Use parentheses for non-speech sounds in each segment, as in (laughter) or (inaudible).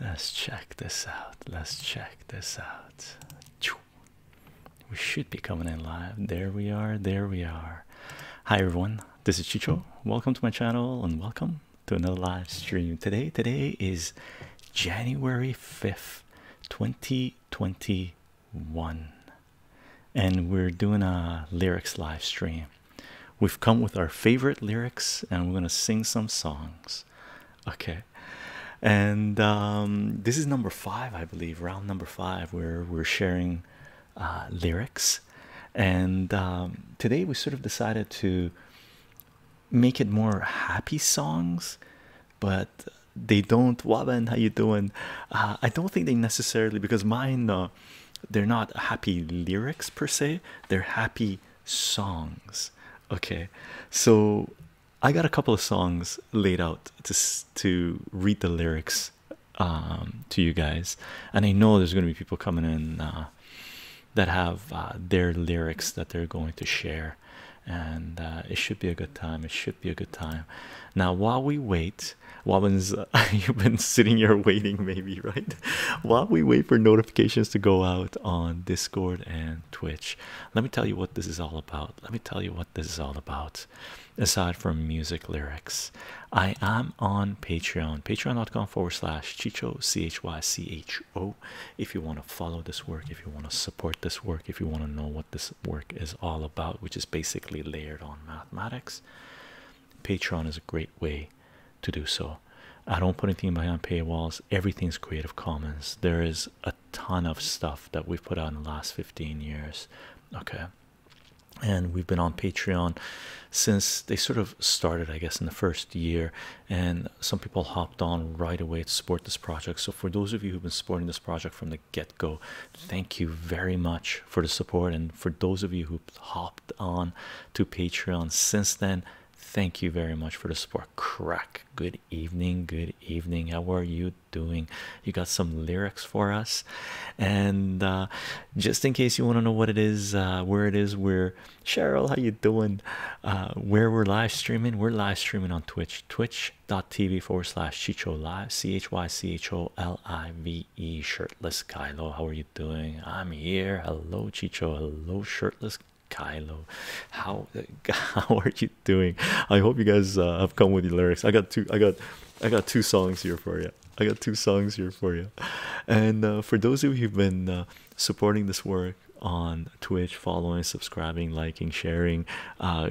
Let's check this out. Let's check this out. We should be coming in live. There we are. There we are. Hi everyone. This is Chicho. Welcome to my channel and welcome to another live stream. Today, today is January 5th, 2021. And we're doing a lyrics live stream. We've come with our favorite lyrics and we're going to sing some songs. (laughs) okay and um, this is number five i believe round number five where we're sharing uh, lyrics and um, today we sort of decided to make it more happy songs but they don't waban how you doing uh, i don't think they necessarily because mine uh, they're not happy lyrics per se they're happy songs okay so i got a couple of songs laid out to to read the lyrics um, to you guys and i know there's going to be people coming in uh, that have uh, their lyrics that they're going to share and uh, it should be a good time it should be a good time now while we wait Wobbins, (laughs) uh, you've been sitting here waiting maybe right while we wait for notifications to go out on discord and Twitch. Let me tell you what this is all about. Let me tell you what this is all about. Aside from music lyrics, I am on Patreon, patreon.com forward slash Chicho, C H Y C H O. If you want to follow this work, if you want to support this work, if you want to know what this work is all about, which is basically layered on mathematics, Patreon is a great way to do so. I don't put anything behind paywalls. Everything's Creative Commons. There is a ton of stuff that we've put out in the last 15 years. Okay. And we've been on Patreon since they sort of started, I guess, in the first year. And some people hopped on right away to support this project. So, for those of you who've been supporting this project from the get go, thank you very much for the support. And for those of you who hopped on to Patreon since then, Thank you very much for the support. Crack. Good evening. Good evening. How are you doing? You got some lyrics for us, and uh, just in case you want to know what it is, uh, where it is, where Cheryl, how you doing? Uh, where we're live streaming? We're live streaming on Twitch. Twitch.tv forward slash Chicho Live. C H Y C H O L I V E. Shirtless Kylo. How are you doing? I'm here. Hello, Chicho. Hello, shirtless Kylo, how (laughs) how are you doing? I hope you guys uh, have come with the lyrics. I got two. I got I got two songs here for you. I got two songs here for you. And uh, for those of you who've been uh, supporting this work on Twitch, following, subscribing, liking, sharing,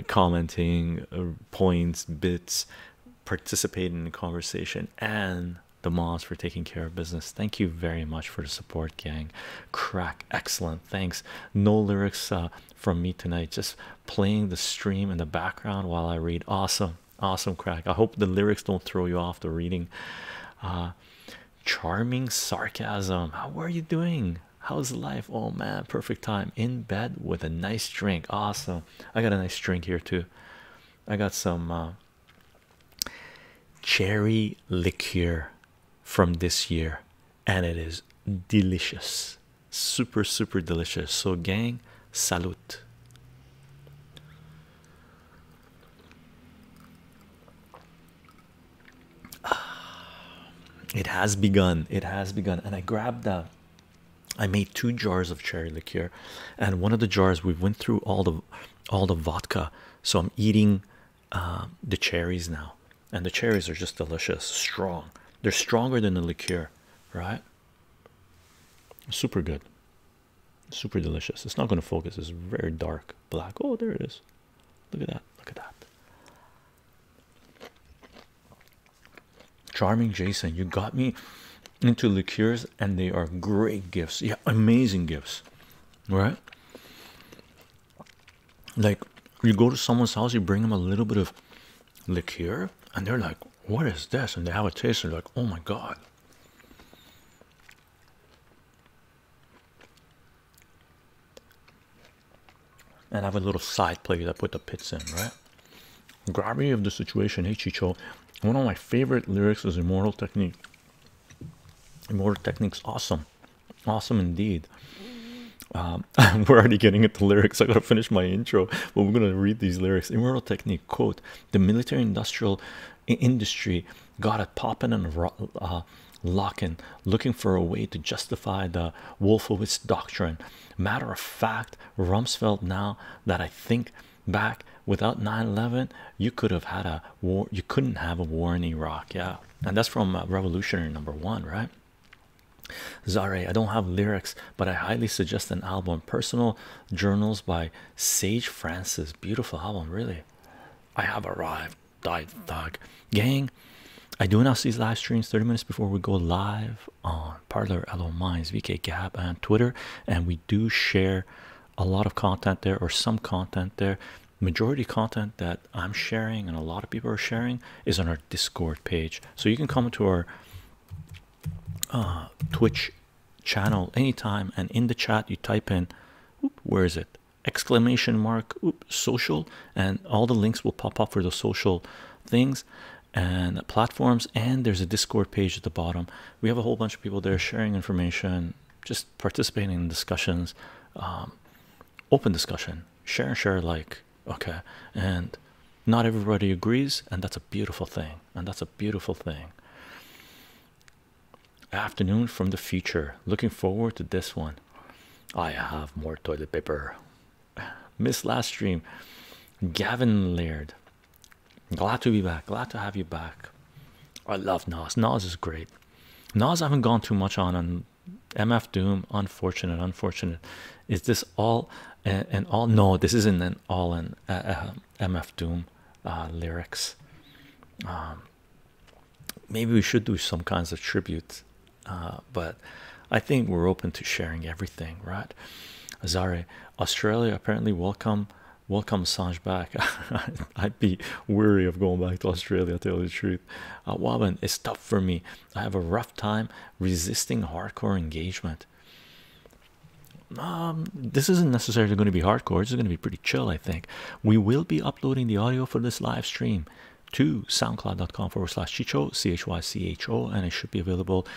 commenting, points, bits, participating in conversation, and the mods for taking care of business, thank you very much for the support for gang. Crack, excellent, thanks. No lyrics uh, from me tonight, just playing the stream in the background while I read. Awesome, awesome, crack. I hope the lyrics don't throw you off the reading. Uh, charming sarcasm, how are you doing? How's life? Oh man, perfect time in bed with a nice drink. Awesome, I got a nice drink here too. I got some. Uh, cherry liqueur from this year and it is delicious super super delicious so gang salut! Ah, it has begun it has begun and i grabbed that i made two jars of cherry liqueur and one of the jars we went through all the all the vodka so i'm eating um, the cherries now, and the cherries are just delicious, strong. They're stronger than the liqueur, right? Super good, super delicious. It's not going to focus. It's very dark black. Oh, there it is. Look at that. Look at that. Charming Jason, you got me into liqueurs, and they are great gifts. Yeah, amazing gifts, right? like you go to someone's house, you bring them a little bit of liqueur, and they're like, What is this? And they have a taste, and they're like, Oh my god. And I have a little side plate that put the pits in, right? Gravity of the situation, hey One of my favorite lyrics is Immortal Technique. Immortal Technique's awesome. Awesome indeed. Um, (laughs) we're already getting into lyrics. I gotta finish my intro, but we're gonna read these lyrics. Immortal technique quote: The military-industrial industry got it popping and uh, locking, looking for a way to justify the Wolfowitz doctrine. Matter of fact, Rumsfeld. Now that I think back, without 9/11, you could have had a war. You couldn't have a war in Iraq. Yeah, and that's from uh, revolutionary number one right Zare, I don't have lyrics, but I highly suggest an album, Personal Journals by Sage Francis. Beautiful album, really. I have arrived, died thug. Gang, I do announce these live streams 30 minutes before we go live on Parlor, LO Minds, VK Gab, and Twitter. And we do share a lot of content there or some content there majority content that i'm sharing and a lot of people are sharing is on our discord page so you can come to our uh, twitch channel anytime and in the chat you type in where is it exclamation mark social and all the links will pop up for the social things and platforms and there's a discord page at the bottom we have a whole bunch of people there sharing information just participating in discussions um, open discussion share and share alike, okay and not everybody agrees and that's a beautiful thing and that's a beautiful thing afternoon from the future looking forward to this one i have more toilet paper (sighs) miss last stream gavin laird glad to be back glad to have you back i love nas nas is great Nas I haven't gone too much on on MF Doom. Unfortunate, unfortunate. Is this all and, all? No, this isn't an all in uh, uh, MF Doom uh, lyrics. Um, maybe we should do some kinds of tributes. but I think we're open to sharing everything, right? Azare, Australia apparently welcome welcome Assange back. (laughs) I'd be weary of going back to Australia, tell you the truth truth. Uh, it's tough for me. I have a rough time resisting hardcore engagement. Um, this isn't necessarily going to be hardcore. It's going to be pretty chill, I think. We will be uploading the audio for this live stream to soundcloud.com forward slash chicho, C-H-Y-C-H-O, and it should be available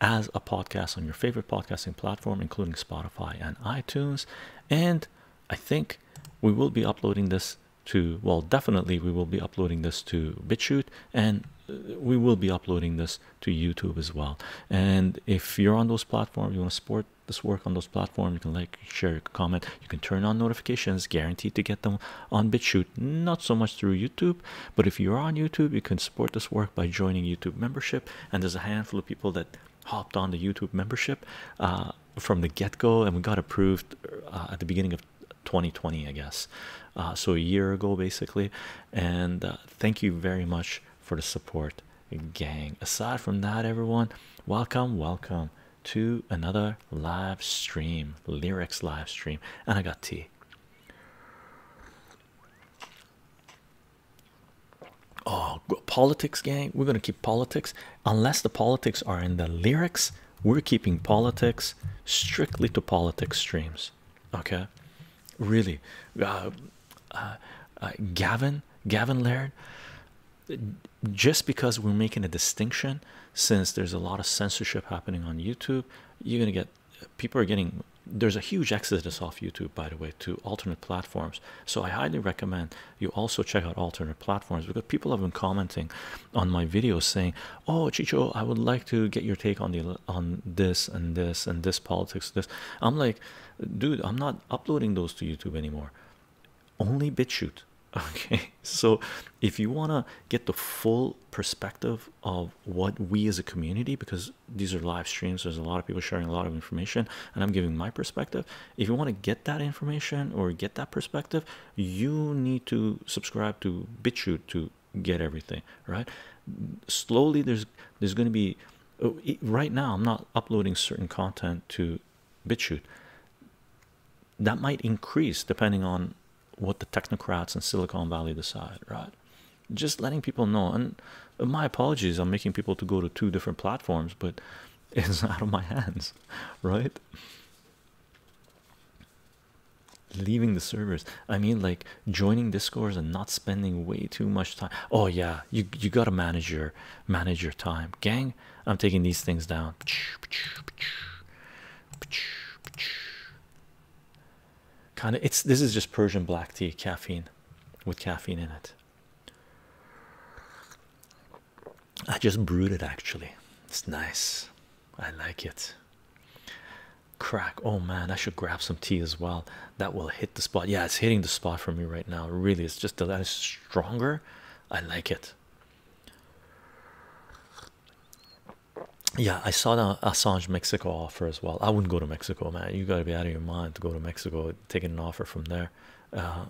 as a podcast on your favorite podcasting platform, including Spotify and iTunes. And I think we will be uploading this to well definitely we will be uploading this to BitChute and uh, we will be uploading this to YouTube as well and if you're on those platforms you want to support this work on those platforms you can like share comment you can turn on notifications guaranteed to get them on BitChute not so much through YouTube but if you're on YouTube you can support this work by joining YouTube membership and there's a handful of people that hopped on the YouTube membership uh, uh, from the get go, and we got approved uh, at the beginning of 2020, I guess, uh, so a year ago basically. And thank you very much for the support, gang. Aside from that, everyone, welcome, welcome to another live stream, lyrics live stream, and I got tea. Oh, politics, gang. We're gonna keep politics, unless the politics are in the lyrics we're keeping politics strictly to politics streams okay really uh, uh, uh, gavin gavin laird just because we're making a distinction since there's a lot of censorship happening on youtube you're gonna get people are getting there's a huge exodus off youtube by the way to alternate platforms so i highly recommend you also check out alternate platforms because people have been commenting on my videos saying, "Oh, Chicho, I would like to get your take on the on this and this and this politics." This I'm like, dude, I'm not uploading those to YouTube anymore. Only BitChute. (laughs) Okay, so if you wanna get the full perspective of what we as a community, because these are live streams, there's a lot of people sharing a lot of information, and I'm giving my perspective if you want to get that information or get that perspective you need to subscribe to BitChute to get everything right slowly there's there's going to be oh, right now i'm not uploading certain content to BitChute that might increase depending on what the technocrats in silicon valley decide right just letting people know and uh, my apologies i'm making people to go to two different platforms but (laughs) it's out of my hands (laughs) right leaving the servers i mean like joining discords and not spending way too much time oh yeah you you got to manage your manage your time gang i'm taking these things down kind of it's this is just persian black tea caffeine with caffeine in it I just brewed it actually. It's nice. I like it. Crack. Oh man, I should grab some tea as well. That will hit the spot. Yeah, it's hitting the spot for me right now. Really, it's just that is stronger. I like it. Yeah, I saw the Assange Mexico offer as well. I wouldn't go to Mexico, man. You gotta be out of your mind to go to Mexico, taking an offer from there. Uh,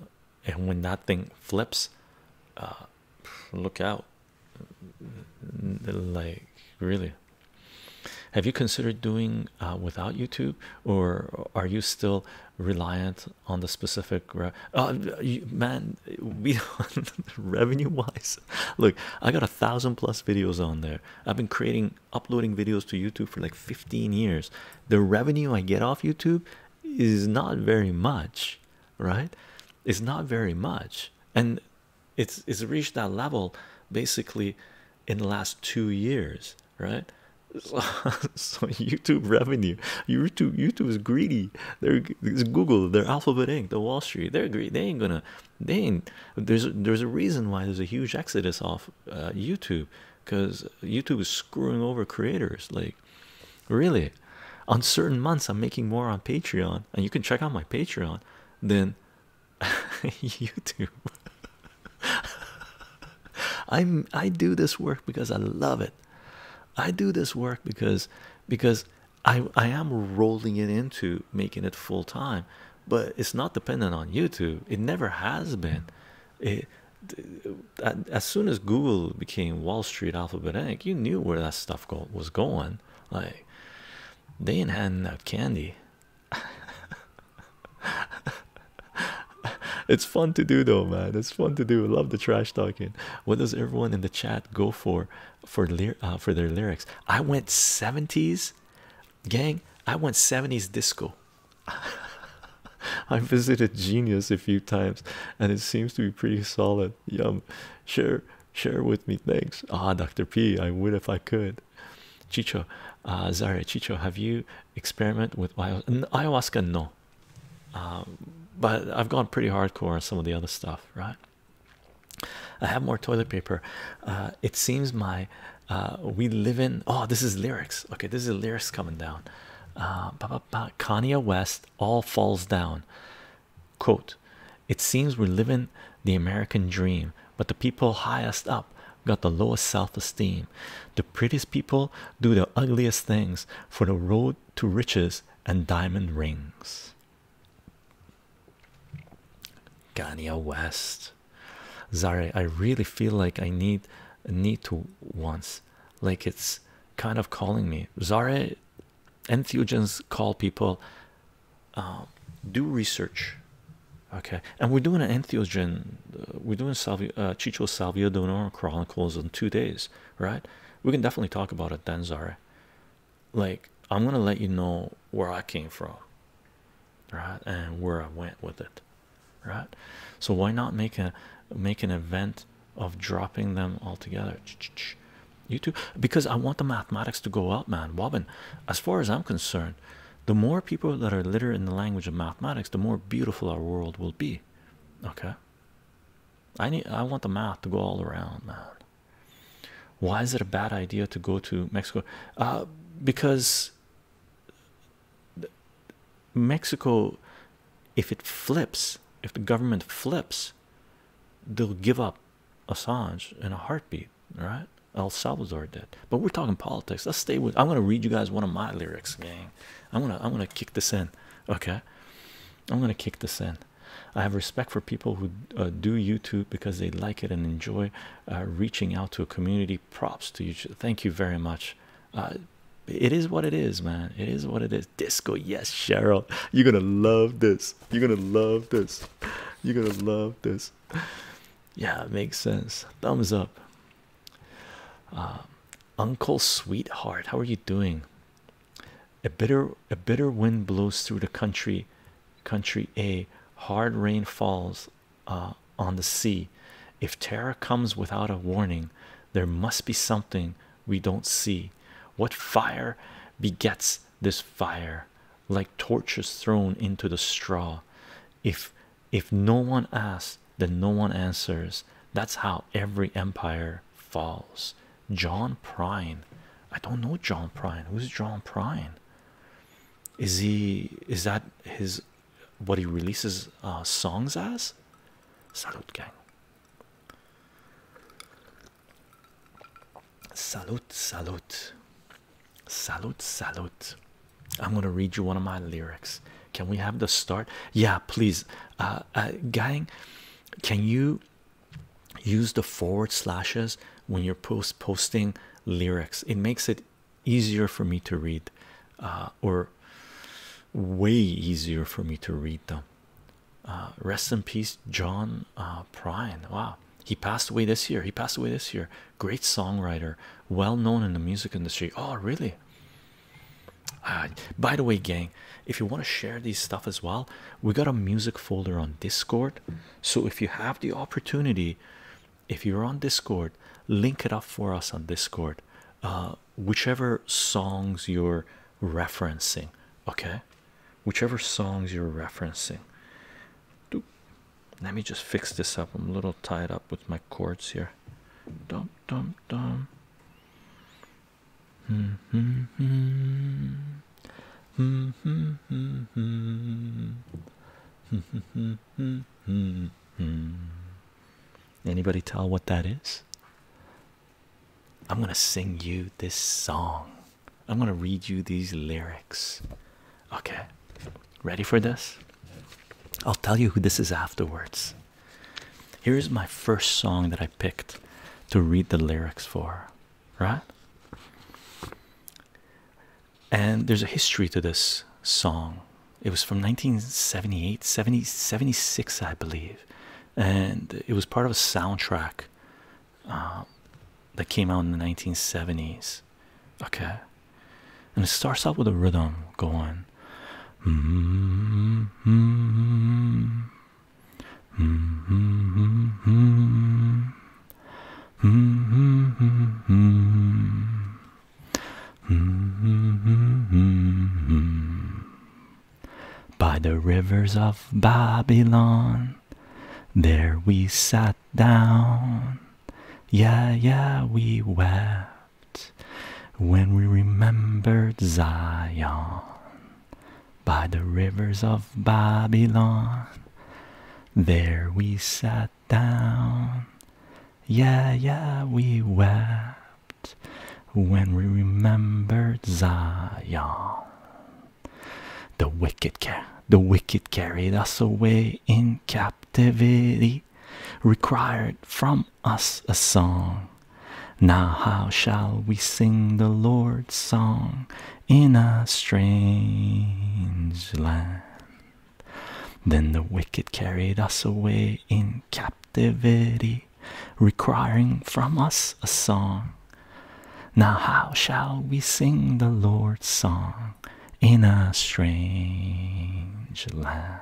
and when that thing flips uh, look out like really have you considered doing uh, without youtube or are you still reliant on the specific uh, man (laughs) revenue wise look i got a thousand plus videos on there i've been creating uploading videos to youtube for like 15 years the revenue i get off youtube is not very much right it's not very much and it's it's reached that level basically in the last two years right so, (laughs) youtube revenue youtube youtube is greedy they're it's google they're alphabet inc the wall street they're greedy they ain't gonna they ain't there's there's a reason why there's a huge exodus off uh, youtube because youtube is screwing over creators like Really, on certain months, I'm making more on Patreon, and you can check out my Patreon than (laughs) YouTube. (laughs) i I do this work because I love it. I do this work because because I I am rolling it into making it full time, but it's not dependent on YouTube. It never has been. It uh, as soon as Google became Wall Street Alphabet Inc., you knew where that stuff was going. Like they ain't had no candy. (laughs) it's fun to do though, man. It's fun to do. I love the trash talking. What does everyone in the chat go for for uh, for their lyrics? I went 70s, gang. I went 70s disco. (laughs) I visited Genius a few times and it seems to be pretty solid. Yum. Share share with me. Thanks. Ah, Dr. P, I would if I could. Chicho, uh Zaria Chicho, have you experimented with ayahuasca? No. Um, but I've gone pretty hardcore on some of the other stuff, right? I have more toilet paper. Uh, it seems my uh, we live in oh, this is lyrics. Okay, this is lyrics coming down. Uh, Kanye West all falls down. Quote, it seems we're living the American dream, but the people highest up got the lowest self esteem. The prettiest people do the ugliest things for the road to riches and diamond rings. Gania West. Zare, I really feel like I need need to once. Like it's kind of calling me. Zare entheogens call people um, do research okay and we're doing an entheogen uh, we're doing salvia uh, chicho salvia donor chronicles in two days right we can definitely talk about it then zara like i'm gonna let you know where i came from right and where i went with it right so why not make a make an event of dropping them altogether. You too, because I want the mathematics to go up, man. Wobbin, as far as I'm concerned, the more people that are literate in the language of mathematics, the more beautiful our world will be. Okay. I need I want the math to go all around, man. Why is it a bad idea to go to Mexico? Uh because Mexico if it flips, if the government flips, they'll give up Assange in a heartbeat, right? El Salvador did, but we're talking politics. Let's stay with. I'm gonna read you guys one of my lyrics, gang. I'm gonna I'm gonna kick this in, okay? I'm gonna kick this in. I have respect for people who uh, do YouTube because they like it and enjoy uh, reaching out to a community. Props to you. Thank you very much. Uh, it is what it is, man. It is what it is. Disco, yes, Cheryl. You're gonna love this. You're gonna love this. You're gonna love this. Yeah, makes sense. Thumbs up. Uh, Uncle Sweetheart, how are you doing? A bitter a bitter wind blows through the country, country A. Hard rain falls uh, on the sea. If terror comes without a warning, there must be something we don't see. What fire begets this fire, like torches thrown into the straw. If if no one asks, then no one answers. That's how every empire falls. John Prine. I don't know John Prine. Who's John Prine? Is he is that his what he releases uh, songs as? Salut gang. Salute, salute, salute, salute. I'm gonna read you one of my lyrics. Can we have the start? Yeah, please. Uh, uh, gang, can you use the forward slashes when you're post posting lyrics? It makes it easier for me to read, uh, or way easier for me to read them. Uh, rest in peace, John uh, Prine. Wow, he passed away this year. He passed away this year. Great songwriter, well known in the music industry. Oh, really? Uh, by the way, gang, if you want to share these stuff as well, we got a music folder on Discord. So if you have the opportunity, if you're on Discord, link it up for us on Discord. Uh, whichever songs you're referencing okay whichever songs you're referencing let me just fix this up i'm a little tied up with my chords here dum dum dum mm -hmm, mm -hmm. Mm -hmm, Anybody tell what that is? I'm going to sing you this song. I'm going to read you these lyrics. Okay. Ready for this? I'll tell you who this is afterwards. Here's my first song that I picked to read the lyrics for, right? And there's a history to this song. It was from 1978, 70, 76, I believe and it was part of a soundtrack uh, that came out in the 1970s. Okay, and it starts off with a rhythm going. Mm by the rivers of Babylon. There we sat down, yeah, yeah, we wept when we remembered Zion. By the rivers of Babylon, there we sat down, yeah, yeah, we wept when we remembered Zion. The wicked car the wicked carried us away in captivity, required from us a song. Now how shall we sing the Lord's song in a strange land? Then the wicked carried us away in captivity, requiring from us a song. Now, how shall we sing the Lord's song in a strange land?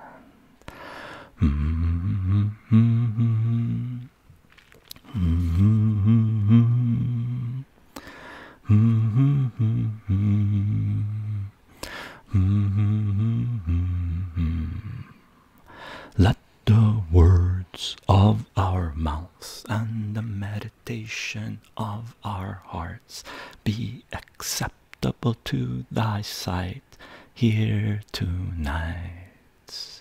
Let the words of our mouths and the meditation of our hearts be acceptable to thy sight here tonight.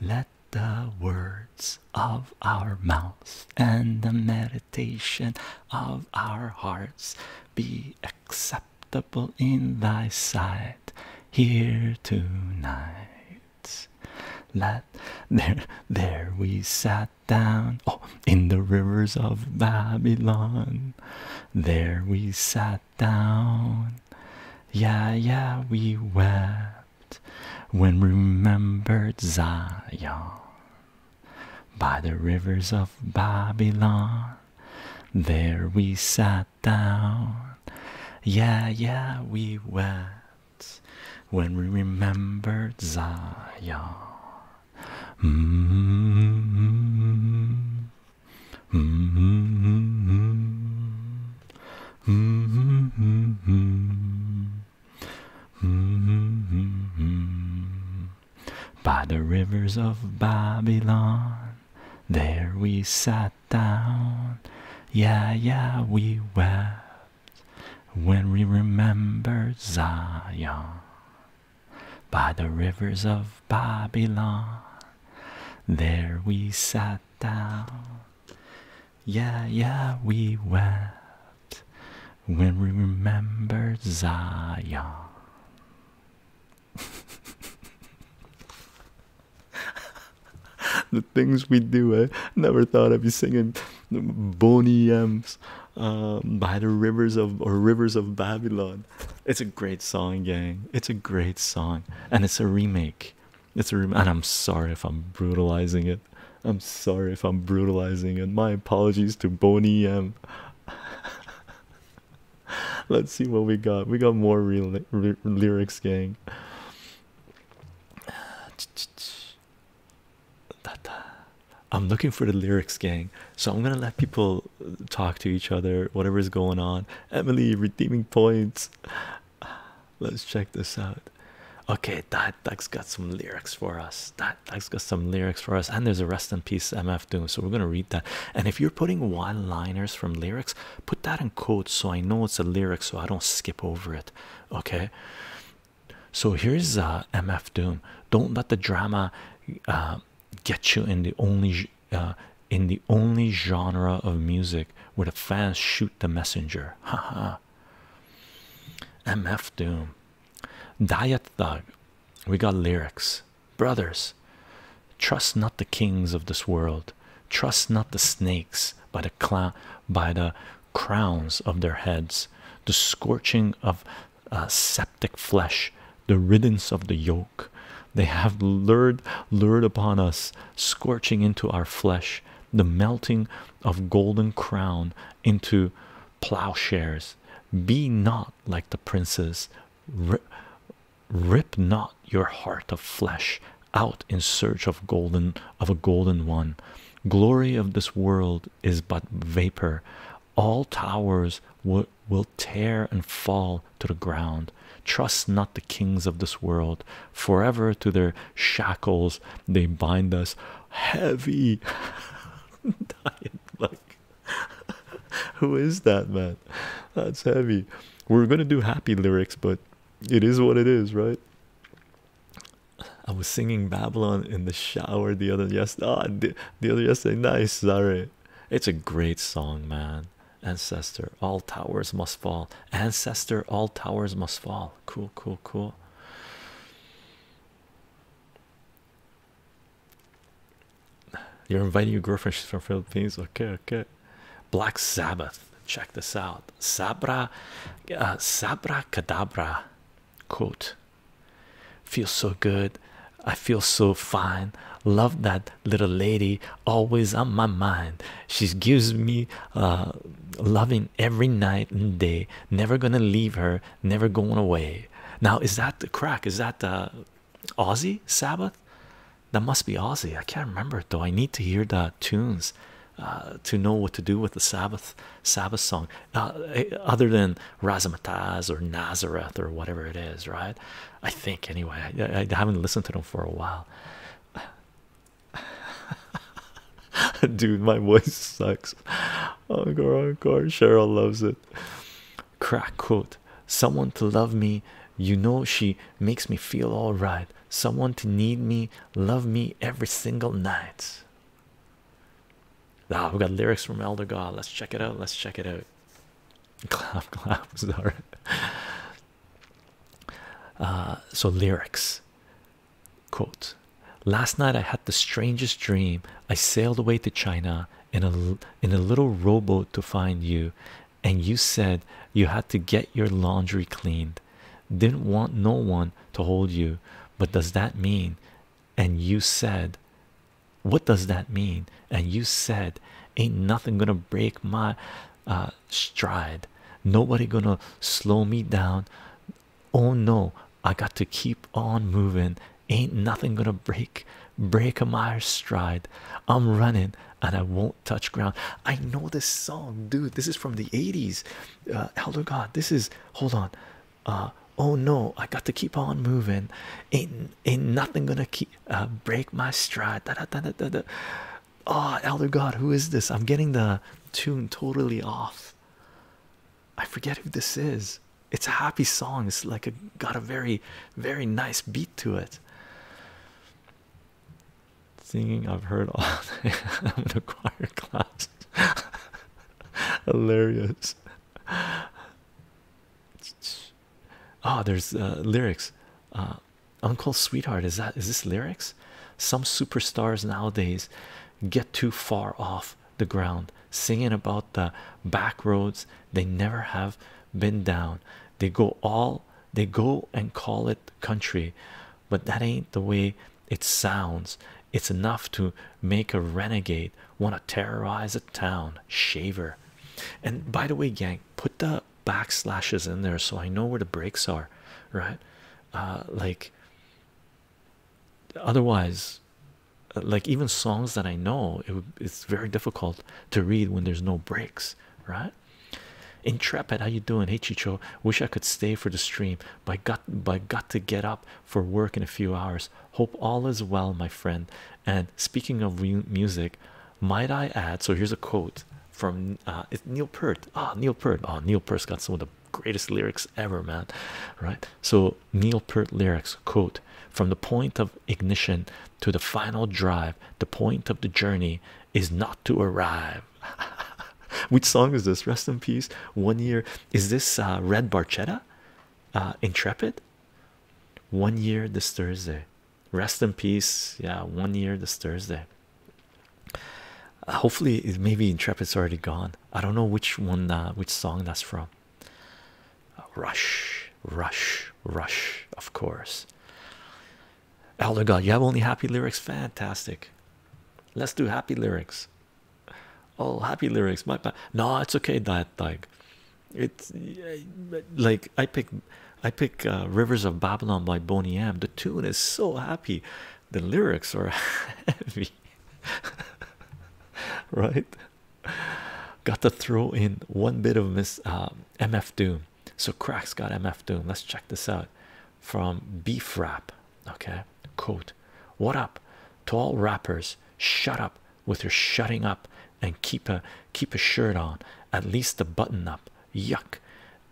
Let the words of our mouths and the meditation of our hearts be acceptable in thy sight here tonight. Let there, there we sat down. Oh, in the rivers of Babylon, there we sat down. Yeah, yeah, we wept when we remembered Zion. By the rivers of Babylon, there we sat down. Yeah, yeah, we went when we remembered Zion. Mm -hmm. Mm -hmm. Mm -hmm. Mm -hmm. By the rivers of Babylon, there we sat down. Yeah, yeah, we wept when we remembered Zion by the rivers of Babylon. There we sat down. Yeah, yeah, we wept when we remembered Zion. (laughs) (laughs) the things we do, I never thought of would singing Boney um, by the rivers of or rivers of Babylon. It's a great song, gang. It's a great song, and it's a remake. It's a remake, and I'm sorry if I'm brutalizing it. I'm sorry if I'm brutalizing it. My apologies to Boney M. (laughs) Let's see what we got. We got more real lyrics, gang. I'm looking for the lyrics, gang. So I'm gonna let people talk to each other, whatever is going on. Emily, redeeming points. Let's check this out. Okay, that that's got some lyrics for us. That that's got some lyrics for us, and there's a rest in peace MF Doom. So we're gonna read that. And if you're putting one liners from lyrics, Put that in quotes so I know it's a lyric so I don't skip over it. Okay. So here's uh, MF Doom. Don't let the drama uh, get you in the only uh, in the only genre of music where the fans shoot the messenger. Ha ha. MF Doom. Diet Thug. We got lyrics. Brothers, trust not the kings of this world trust not the snakes by the clown by the crowns of their heads the scorching of uh, septic flesh the riddance of the yoke they have lured lured upon us scorching into our flesh the melting of golden crown into plowshares be not like the princes rip not your heart of flesh out in search of golden of a golden one glory of this world is but vapor all towers will, tear and fall to the ground trust not the kings of this world forever to their shackles they bind us heavy (laughs) (laughs) who is that man that's heavy we're gonna do happy lyrics but it is what it is right I was singing Babylon in the shower the other yesterday. Oh, the, the other yesterday, nice. Sorry, it's a great song, man. Ancestor, all towers must fall. Ancestor, all towers must fall. Cool, cool, cool. You're inviting your girlfriend. She's from Philippines. Okay, okay. Black Sabbath. Check this out. Sabra, uh, Sabra Kadabra quote. Feels so good. I feel so fine. Love that little lady. Always on my mind. She gives me uh, loving every night and day. Never gonna leave her. Never going away. Now is that the crack? Is that the Aussie Sabbath? That must be Aussie. I can't remember it though. I need to hear the tunes. Uh, to know what to do with the Sabbath Sabbath song, eh, other than Razzmatazz or Nazareth or whatever it is, right? I think anyway. I, haven't listened to them for a while. (laughs) Dude, my voice sucks. Oh, oh god, Cheryl loves it. Crack quote. Someone to love me, you know she makes me feel all right. Someone to need me, Love me every single night. Ah, we got lyrics from Elder God. Let's check it out. Let's check it out. (laughs) Clap, clap. (laughs) Sorry. Uh, so lyrics. Quote: Last night I had the strangest dream. I sailed away to China in a in a little rowboat to find you, and you said you had to get your laundry cleaned didn't want no one to hold you but does that mean and you said what does that mean and you said ain't nothing gonna break my uh, stride nobody gonna slow me down oh no i got to keep on moving ain't nothing gonna break break a my stride i'm running and i won't touch ground. I know this song, dude. This is from the 80s. Uh, Elder God, this is hold on. Uh, oh no, I got to keep on moving. Ain't, ain't nothing gonna keep uh, break my stride. Oh, Elder God, who is this? I'm getting the tune totally off. I forget who this is. It's a happy song. It's like a got a very, very nice beat to it. Singing, I've heard all day. (laughs) I'm choir class. (laughs) Hilarious. Oh, there's uh, lyrics. Uh, Uncle Sweetheart, is that is this lyrics? Some superstars nowadays get too far off the ground, singing about the back roads they never have been down. They go all they go and call it country but that ain't the way it sounds. It's enough to make a renegade want to terrorize a town, shaver. And by the way, gang, put the backslashes in there so I know where the breaks are, right? Uh, like otherwise, uh, like even songs that I know, it, it's very difficult to read when there's no breaks, right? intrepid how you doing hey chicho wish i could stay for the stream but I got but I got to get up for work in a few hours hope all is well my friend and speaking of music might i add so here's a quote from uh, neil peart ah neil peart oh neil peart's got some of the greatest lyrics ever man right so neil peart lyrics quote from the point of ignition to the final drive the point of the journey is not to arrive (laughs) Which song is this? Rest in peace. One year. Is this uh, Red Barchetta? Uh, Intrepid. One year this Thursday. Rest in peace. Yeah, one year this Thursday. Uh, hopefully, maybe Intrepid's already gone. I don't know which one, which song that's from. rush, rush, rush. Of course. Oh Elder God, you have only happy lyrics. Fantastic. Let's do happy lyrics. Oh, happy lyrics. My bad. No, it's okay. That like it's like I pick I pick uh, Rivers of Babylon by Boni Am. The tune is so happy. The lyrics are (laughs) heavy. (laughs) right? Got to throw in one bit of Miss um, uh, MF Doom. So cracks got MF Doom. Let's check this out from beef wrap okay quote what up tall wrappers? shut up with your shutting up and keep a keep a shirt on at least the button up yuck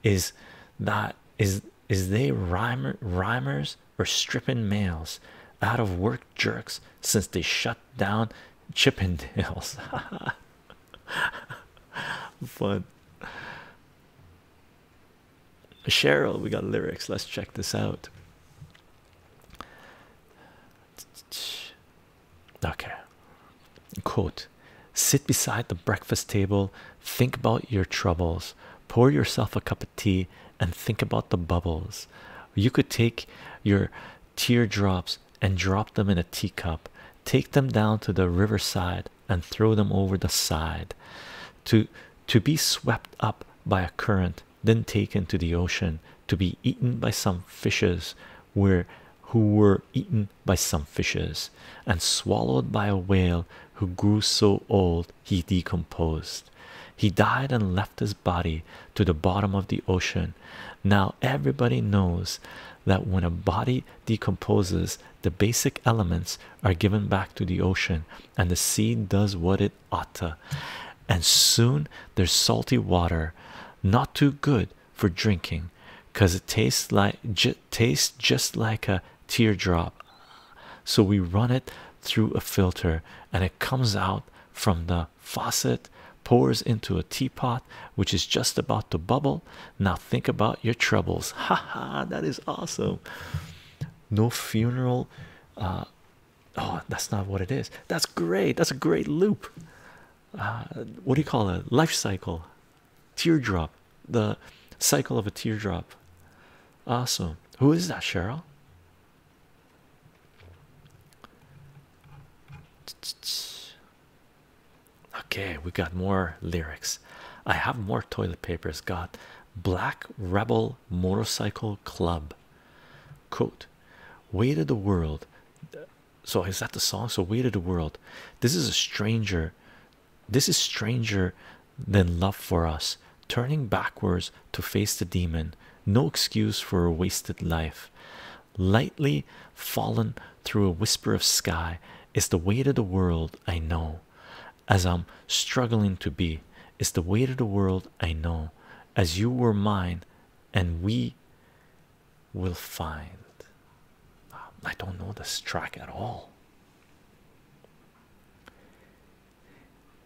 is that is is they rhymer rhymers or stripping males out of work jerks since they shut down chippendales (laughs) fun Cheryl, we got lyrics. Let's check this out. Okay. Quote Sit beside the breakfast table, think about your troubles, pour yourself a cup of tea, and think about the bubbles. You could take your teardrops and drop them in a teacup, take them down to the riverside, and throw them over the side to to be swept up by a current then taken to the ocean to be eaten by some fishes where who were eaten by some fishes and swallowed by a whale who grew so old he decomposed he died and left his body to the bottom of the ocean now everybody knows that when a body decomposes the basic elements are given back to the ocean, and the sea does what it ought to. And soon there's salty water, not too good for drinking, cause it tastes like tastes just like a teardrop. So we run it through a filter, and it comes out from the faucet, pours into a teapot, which is just about to bubble, now think about your troubles. (laughs) Ha ha! that is awesome. No funeral. Uh, oh, that's not what it is. That's great. That's a great loop. Uh, what do you call it? Life cycle, teardrop, the cycle of a teardrop. Awesome. Who is that, Cheryl? Okay, we got more lyrics. I have more toilet papers. God, Black Rebel Motorcycle Club. Quote, Way to the World. So is that the song? So Way to the World. This is a stranger. This is stranger than love for us. Turning backwards to face the demon. No excuse for a wasted life. Lightly fallen through a whisper of sky is the weight of the world I know as I'm struggling to be. is the weight of the world I know, as you were mine, and we will find. Um, I don't know this track at all.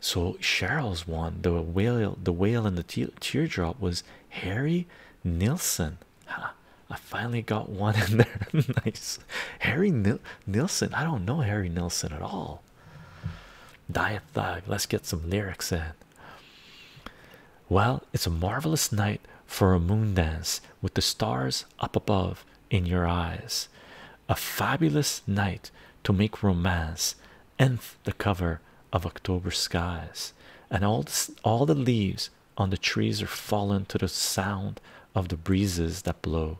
So Cheryl's one, the whale, the whale, and the teardrop was Harry Nilsson. Huh, (laughs) I finally got one in there. (laughs) nice. Harry Nilsson. I don't know Harry Nilsson at all. Diet Thug, let's get some lyrics in. Well, it's a marvelous night for a moon dance with the stars up above in your eyes. A fabulous night to make romance, nth the cover of October skies, and all, all the leaves on the trees are falling to the sound of the breezes that blow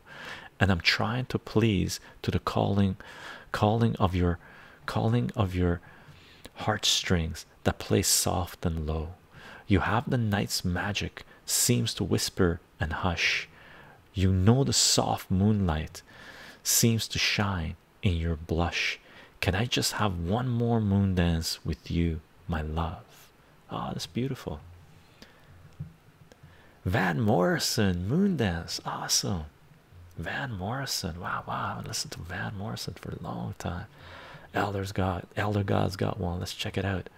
and i'm trying to please to the calling calling of your calling of your heartstrings that play soft and low you have the night's magic seems to whisper and hush you know the soft moonlight seems to shine in your blush can i just have one more moon dance with you my love ah oh, that's beautiful Van Morrison, Moondance, awesome. Van Morrison, wow, wow. I listened to Van Morrison for a long time. Elders God, Elder God's got one. Let's check it out.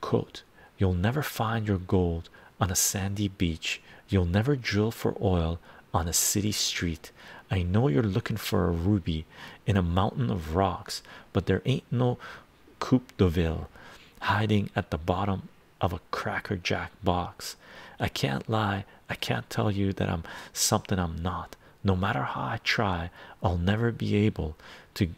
Quote: You'll never find your gold on a sandy beach. You'll never drill for oil on a city street. I know you're looking for a ruby in a mountain of rocks, but there ain't no Coup de Ville, hiding at the bottom of a Cracker Jack box. I can't lie, I can't tell you that I'm something I'm not. No matter how I try, I'll never be able to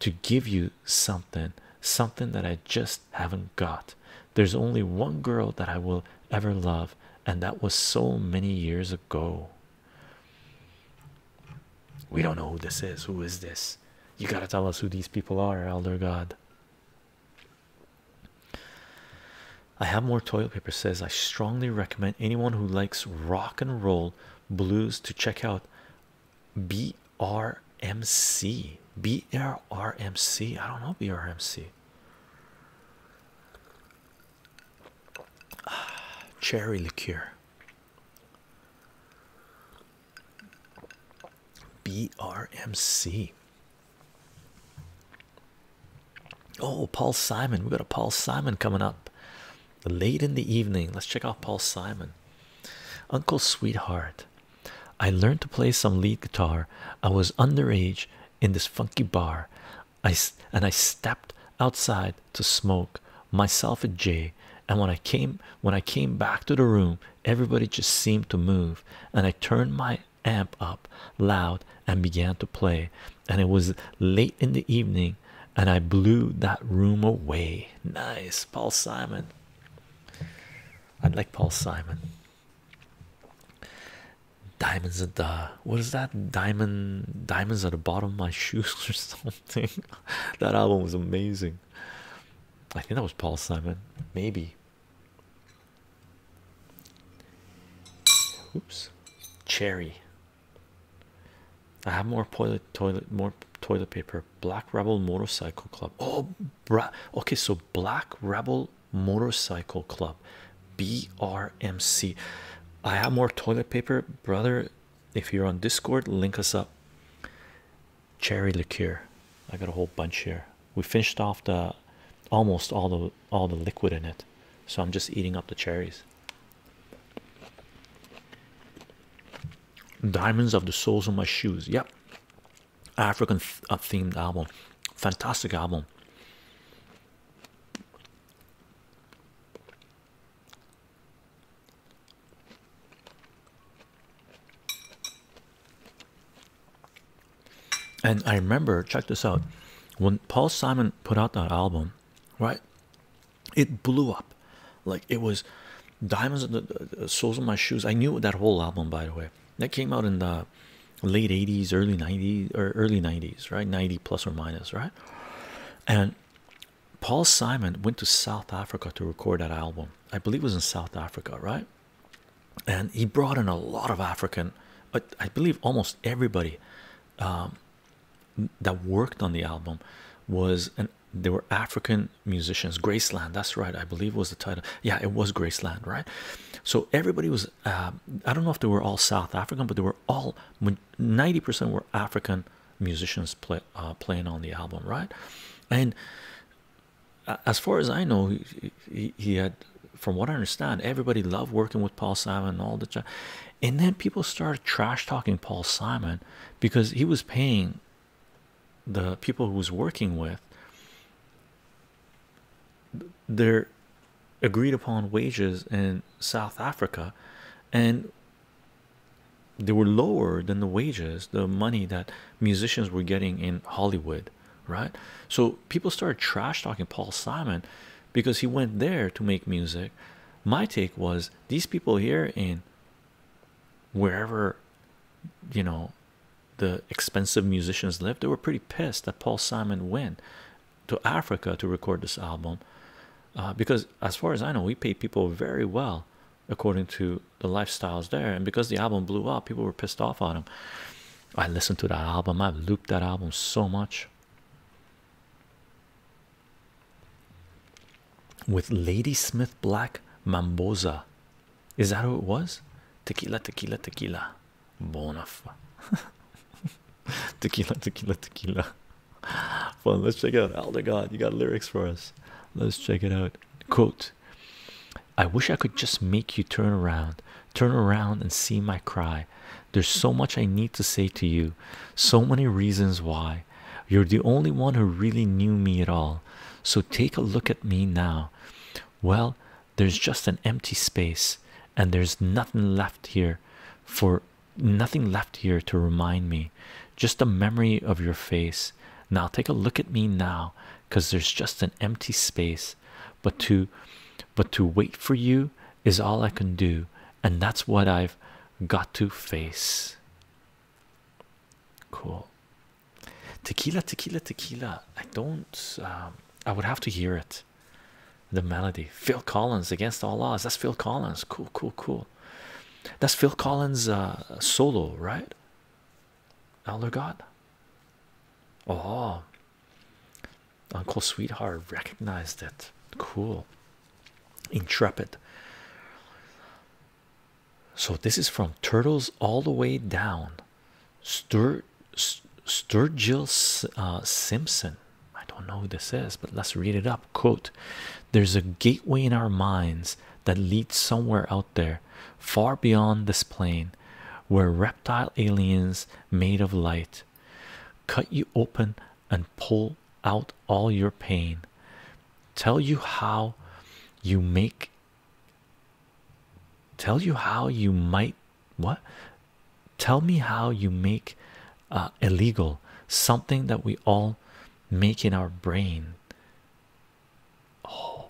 to give you something, something that I just haven't got. There's only one girl that I will ever love, and that was so many years ago. We don't know who this is. Who is this? You got to tell us who these people are, Elder God. I have more toilet paper. Says I strongly recommend anyone who likes rock and roll blues to check out BRMC. don't know BRMC. Ah, (sighs) cherry liqueur. BRMC. Oh, Paul Simon. We got a Paul Simon coming up late in the evening. Let's check out Paul Simon. Uncle Sweetheart. I learned to play some lead guitar. I was underage in this funky bar. I and I stepped outside to smoke myself a Jay, and when I came when I came back to the room, everybody just seemed to move, and I turned my amp up loud and began to play, and it was late in the evening, and I blew that room away. Nice, Paul Simon. i like Paul Simon. Diamonds and the what is that? Diamond diamonds at the bottom of my (laughs) shoes or something. that album was amazing. I think that was Paul Simon, maybe. Oops, cherry. I have more toilet toilet more toilet paper. Black Rebel Motorcycle Club. Oh, bra okay. So Black Rebel Motorcycle Club, BRMC. I have more toilet paper, brother. If you're on Discord, link us up cherry liqueur. I got a whole bunch here. We finished off the almost all the all the liquid in it, so I'm just eating up the cherries. Diamonds of the soles on my shoes. Yep, African uh, themed album, fantastic album. And I remember, check this out, when Paul Simon put out that album, right? It blew up, like it was diamonds in the uh, of my shoes. I knew that whole album, by the way. That came out in the late '80s, early '90s, or early '90s, right? '90 plus or minus, right? And Paul Simon went to South Africa to record that album. I believe it was in South Africa, right? And he brought in a lot of African, but I believe almost everybody um, that worked on the album was and they were African musicians. Graceland, that's right. I believe was the title. Yeah, it was Graceland, right? So everybody was. Uh, I don't know if they were all South African, but they were all ninety percent were African musicians play playing on the album, right? And uh, as far as I know, he, had, from what I understand, everybody loved working with Paul Simon and all the, and then people started trash talking Paul Simon because he was paying the people who was working with their agreed upon wages in South Africa, and they were lower than the wages the money that musicians were getting in hollywood right so people started trash talking paul simon because he went there to make music my take was these people here in wherever you know the expensive musicians live, they were pretty pissed that paul simon went to africa to record this album uh, because as far as i know we pay people very well according to the lifestyles there and because the album blew up people were pissed off on him i listened to that album i've looped that album so much with lady smith black mamboza is that how it was tequila tequila tequila bonaf (laughs) tequila tequila tequila well let's check it out elder oh god you got lyrics for us let's check it out quote I wish I could just make you turn around, turn around and see my cry. There's so much I need to say to you, so many reasons why. You're the only one who really knew me at all. So take a look at me now. Well, there's just an empty space, and there's nothing left here for nothing left here to remind me, just a memory of your face. Now take a look at me now because there's just an empty space. But to but to wait for you is all I can do, and that's what I've got to face. Cool. Tequila, tequila, tequila. I don't um, I would have to hear it. The melody. Phil Collins against all odds. That's Phil Collins. Cool, cool, cool. That's Phil Collins uh, solo, right? Elder God. Oh, Uncle Sweetheart recognized it. Cool, intrepid. So, this is from Turtles All the Way Down, Sturgill uh, Simpson. I don't know who this is, but let's read it up. Quote There's a gateway in our minds that leads somewhere out there far beyond this plane, where reptile aliens made of light cut you open and pull out all your pain, tell you how you make. Tell you how you might what? Tell me how you make uh, illegal something that we all make in our brain Oh,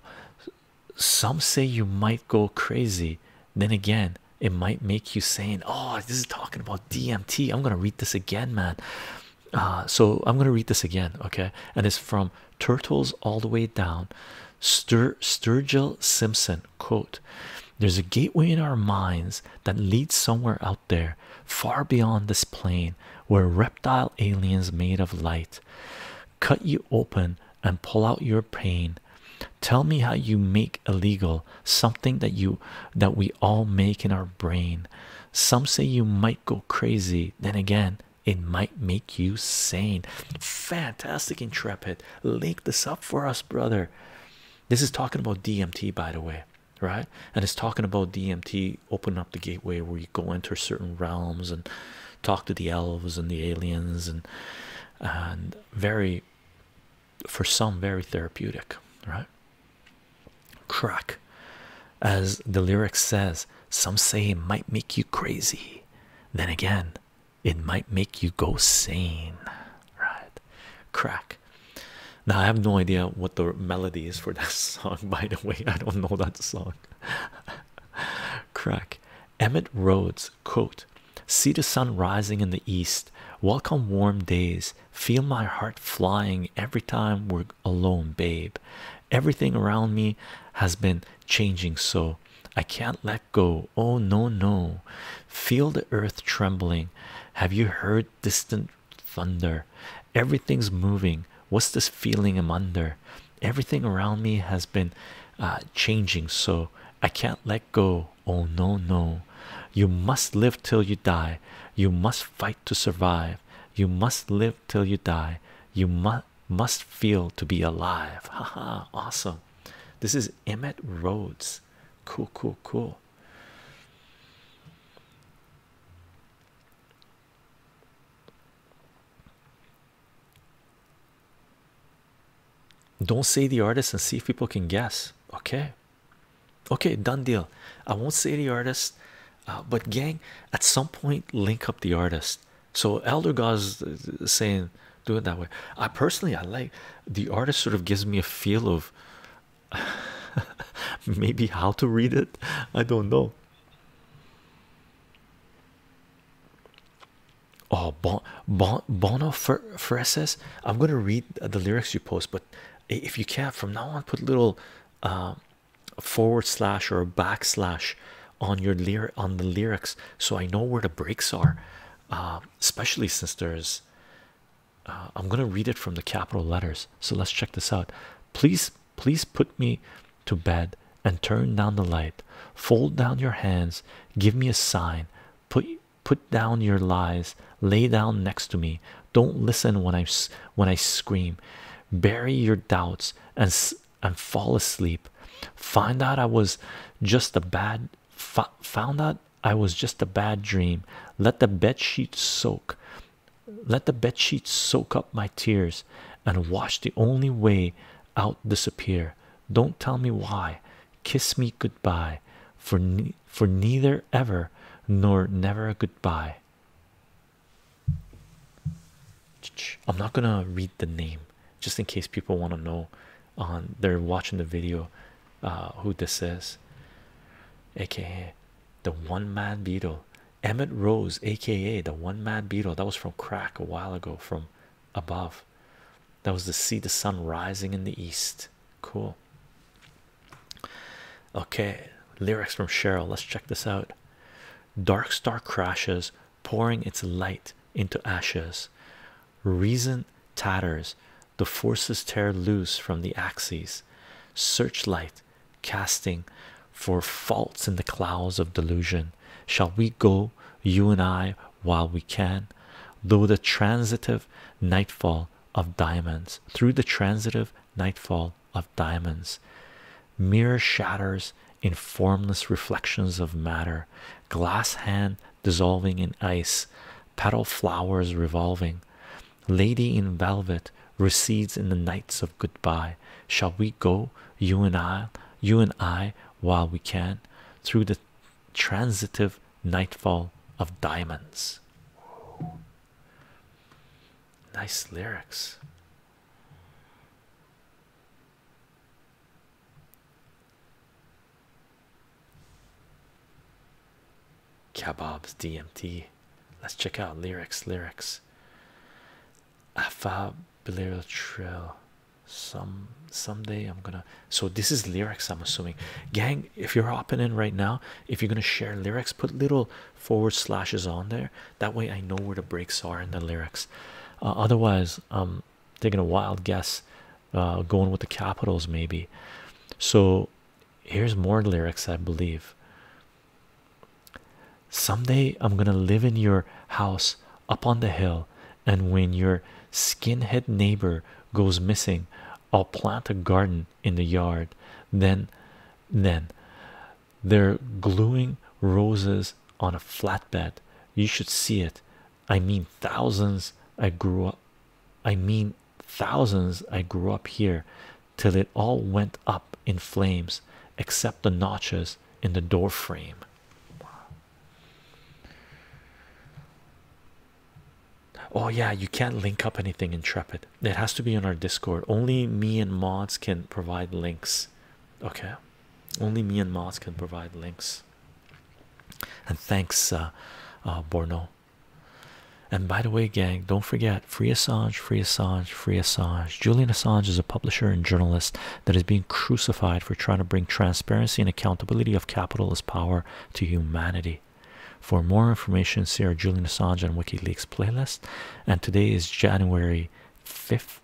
some say you might go crazy. Then again, it might make you saying, Oh, this is talking about DMT. I'm gonna read this again, man. Uh, so I'm gonna read this again, okay? And it's from Turtles All the Way Down. Stur Sturgill Simpson quote There's a gateway in our minds that leads somewhere out there, far beyond this plane, where reptile aliens made of light cut you open and pull out your pain tell me how you make illegal something that you that we all make in our brain some say you might go crazy then again it might make you sane fantastic intrepid link this up for us brother this is talking about dmt by the way right and it's talking about dmt open up the gateway where you go enter certain realms and talk to the elves and the aliens and and very for some very therapeutic right crack as the lyrics says some say it might make you crazy then again it might make you go sane right crack now i have no idea what the melody is for that (laughs) song by the way i don't know that song (laughs) Crack. Emmett Rhodes, quote, See the sun rising in the east. Welcome warm days. Feel my heart flying every time we're alone, babe. Everything around me has been changing so. I can't let go. Oh, no, no. Feel the earth trembling. Have you heard distant thunder? Everything's moving what's this feeling i'm under everything around me has been uh, changing so i can't let go oh no no you must live till you die you must fight to survive you must live till you die you must must feel to be alive (laughs) haha awesome this is emmett rhodes cool cool cool don't say the artist and see if people can guess. Okay, okay, done deal. I won't say the artist, uh, but gang, at some point, link up the artist. So Elder God's uh, saying, do it that way. I personally, I like the artist. Sort of gives me a feel of (laughs) maybe how to read it. I don't know. Oh, bon, bon, Bono for, I'm gonna read the lyrics you post, but if you can't from now on, put little um, forward slash or backslash on your lyric on the lyrics, so I know where the breaks are. Um, especially since there's, uh, I'm gonna read it from the capital letters. So let's check this out. Please Please put me to bed and turn down the light. Fold down your hands, give me a sign, put put down your lies, lay down next to me. Don't listen when I when I scream. Bury your doubts and and fall asleep. Find out I was just a bad found out I was just a bad dream. Let the bed sheets soak. Let the bed sheets soak up my tears and watch the only way out disappear. Don't tell me why. Kiss me goodbye, for for neither ever nor never a goodbye. I'm not gonna read the name just in case people want to know on they're watching the video uh, who this is, aka the one man beetle Emmett Rose, aka the one mad beetle, that was from crack a while ago from above. That was to see the sun rising in the east. Cool. Okay, lyrics from Cheryl. Let's check this out. Dark star crashes, pouring its light into ashes. Reason tatters, the forces tear loose from the axes. Searchlight casting for faults in the clouds of delusion. Shall we go, you and I, while we can, through the transitive nightfall of diamonds, through the transitive nightfall of diamonds, mirror shatters in formless reflections of matter, glass hand dissolving in ice, petal flowers revolving, lady in velvet recedes in the nights of goodbye. Shall we go, you and I, you and I, while we can, through the transitive nightfall of diamonds. Nice lyrics. Kebabs DMT. Let's check out lyrics. Lyrics. Afab Balearic Trail. Some someday I'm gonna so this is lyrics. I'm assuming, gang. If you're hopping in right now, if you're gonna share lyrics, put little forward slashes on there. That way I know where the breaks are in the lyrics. Uh, otherwise, I'm um, taking a wild guess, uh, going with the capitals maybe. So here's more lyrics, I believe. Some day I'm gonna live in your house up on the hill, and when your skinhead neighbor goes missing, I'll plant a garden in the yard. Then, then they're gluing roses on a flatbed. You should see it. I mean, thousands. I grew up. I mean, thousands. I grew up here till it all went up in flames, except the notches in the door frame. Oh, yeah, you can't link up anything intrepid, it has to be on our Discord. Only me and mods can provide links. Okay, only me and mods can provide links. And thanks, uh, uh, Borno. And by the way, gang, don't forget free Assange, free Assange, free Assange. Julian Assange is a publisher and journalist that is being crucified for trying to bring transparency and accountability of capitalist power to humanity. For more information, see our Julian Assange and WikiLeaks playlist. And today is January 5th.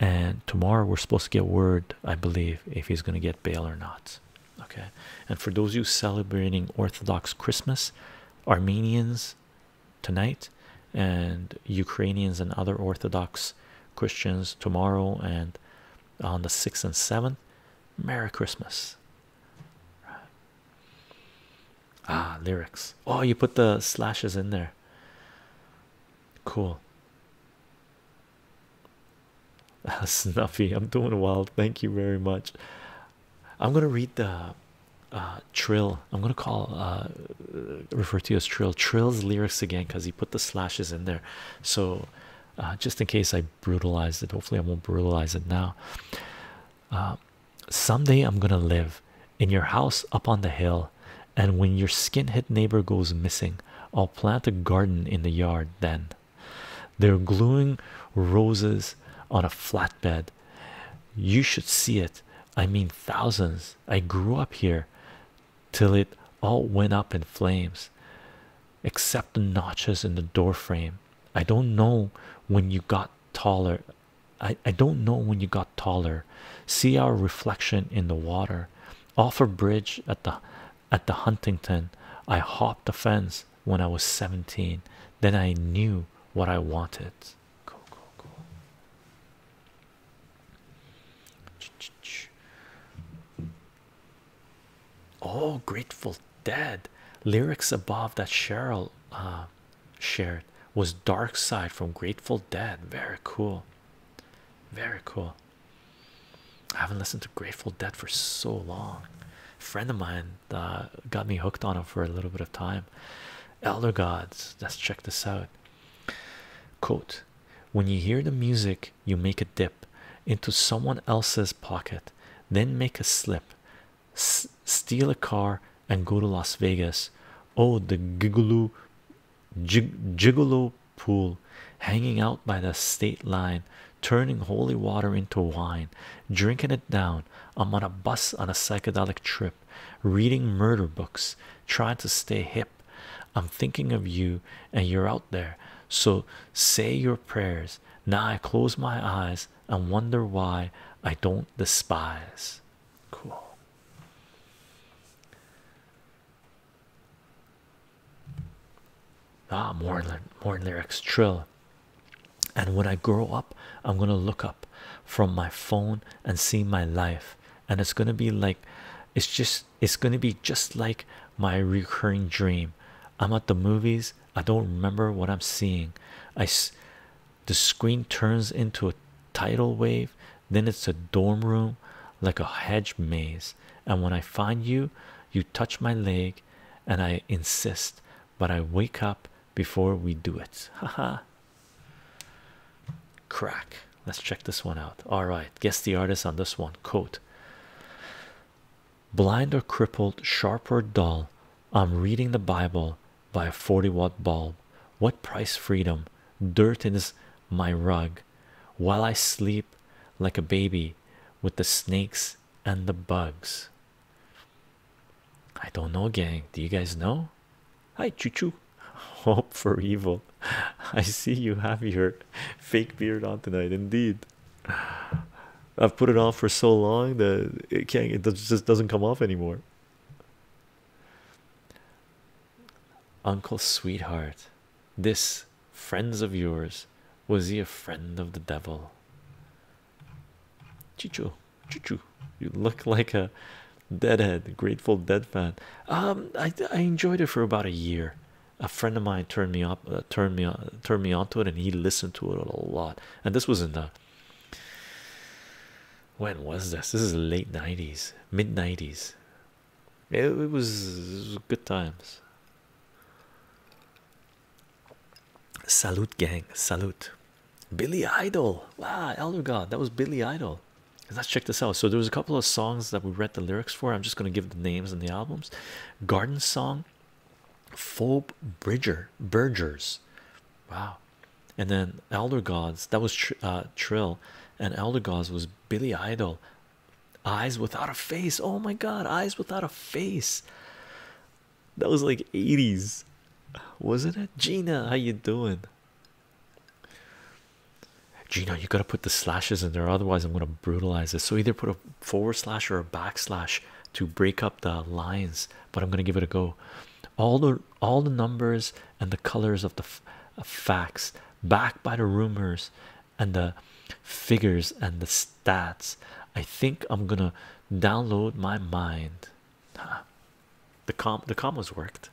And tomorrow we're supposed to get word, I believe, if he's going to get bail or not. Okay. And for those you celebrating Orthodox Christmas, Armenians, tonight and Ukrainians and other Orthodox Christians tomorrow and on the 6th and 7th. Merry Christmas. Ah, lyrics. Oh, you put the slashes in there. Cool. (laughs) snuffy, I'm doing well. Thank you very much. I'm gonna read the uh, Trill. I'm gonna call uh, refer to as Trill. Trill's lyrics again because he put the slashes in there. So uh, just in case I brutalize it, hopefully I won't brutalize it now. Uh, someday I'm gonna live in your house up on the hill, and when your skinhead neighbor goes missing, I'll plant a garden in the yard. Then they're gluing roses on a flatbed. You should see it. I mean, thousands. I grew up here till it all went up in flames, except the notches in the door frame. I don't know when you got taller. I, I don't know when you got taller. See our reflection in the water. Off a bridge at the at the Huntington. I hopped a fence when I was 17. Then I knew what I wanted. Cool, cool, cool. Oh, Grateful Dead lyrics above that Cheryl uh, shared was Dark Side from Grateful Dead. Very cool, very cool. I haven't listened to Grateful Dead for so long. friend of mine uh, got me hooked on him for a little bit of time. Elder Gods, let's check this out. Quote When you hear the music, you make a dip into someone else's pocket, then make a slip, s steal a car, and go to Las Vegas. Oh, the gigolo, gig gigolo pool, hanging out by the state line, turning holy water into wine, drinking it down. I'm on a bus on a psychedelic trip reading murder books, trying to stay hip. I'm thinking of you, and you're out there. So say your prayers. Now I close my eyes and wonder why I don't despise. Cool. Ah, more lyrics. Trill. And when I grow up, I'm gonna look up from my phone and see my life and it's going to be like it's just it's going to be just like my recurring dream i'm at the movies i don't remember what i'm seeing i the screen turns into a tidal wave then it's a dorm room like a hedge maze and when i find you you touch my leg and i insist but i wake up before we do it (laughs) Ha haha Crack. Let's check this one out. All right, guess the artist on this one. Quote Blind or crippled, sharp or dull, I'm reading the Bible by a 40 watt bulb. What price freedom? Dirt is my rug while I sleep like a baby with the snakes and the bugs. I don't know, gang. Do you guys know? Hi, Choo Choo. Hope for evil. (laughs) I see you have your fake beard on tonight. Indeed, I've put it on for so long that it can't. It just doesn't come off anymore. Uncle Sweetheart, this friends of yours, was he a friend of the devil? Choo Choo. you look like a Deadhead, Grateful Dead fan. Um, I I enjoyed it for about a year. A friend of mine turned me up, uh, turned me on, turned me onto it, and he listened to it a lot. And this was in the when was this? This is late '90s, mid '90s. It, was, it was good times. Salute, gang. Salute. Billy Idol. Wow, Elder God. That was Billy Idol let's check this out so there was a couple of songs that we read the lyrics for i'm just going to give the names and the albums garden song phobe bridger Bergers. wow and then elder gods that was uh, trill and elder gods was billy idol eyes without a face oh my god eyes without a face that was like 80s wasn't it gina how you doing Gino, you got to put the slashes in there, otherwise, I'm going to brutalize this. So, either put a forward slash or a backslash to break up the lines, but I'm going to give it a go. All the all the numbers and the colors of the facts, backed by the rumors and the figures and the stats. I think I'm gonna download my mind. The com the commas worked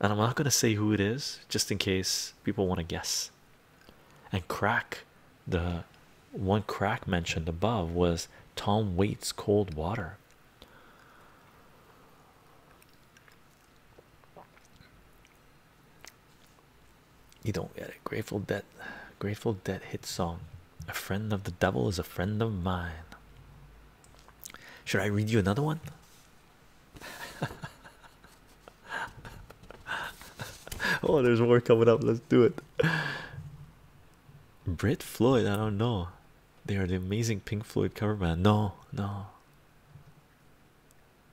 and I'm not going to say who it is just in case people want to guess. And crack, the one crack mentioned above was Tom Waits Cold Water. You don't get it. Grateful Dead, Grateful Dead hit song. A friend of the devil is a friend of mine. Should I read you another one? (laughs) oh, there's more coming up. Let's do it. Brit Floyd, I don't know. They are the amazing Pink Floyd cover band. No, no.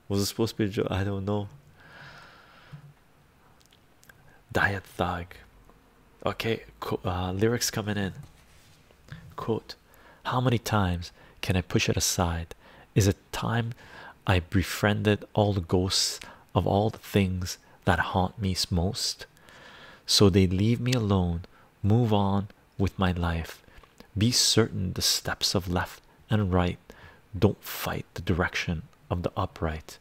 Was it supposed to be Joe? I don't know. Diet Thug. Okay, uh, lyrics coming in. Quote, how many times can I push it aside? Is it time I befriended all the ghosts of all the things that haunt me most? So they leave me alone, move on with my life. Be certain the steps of left and right don't fight the direction of the upright.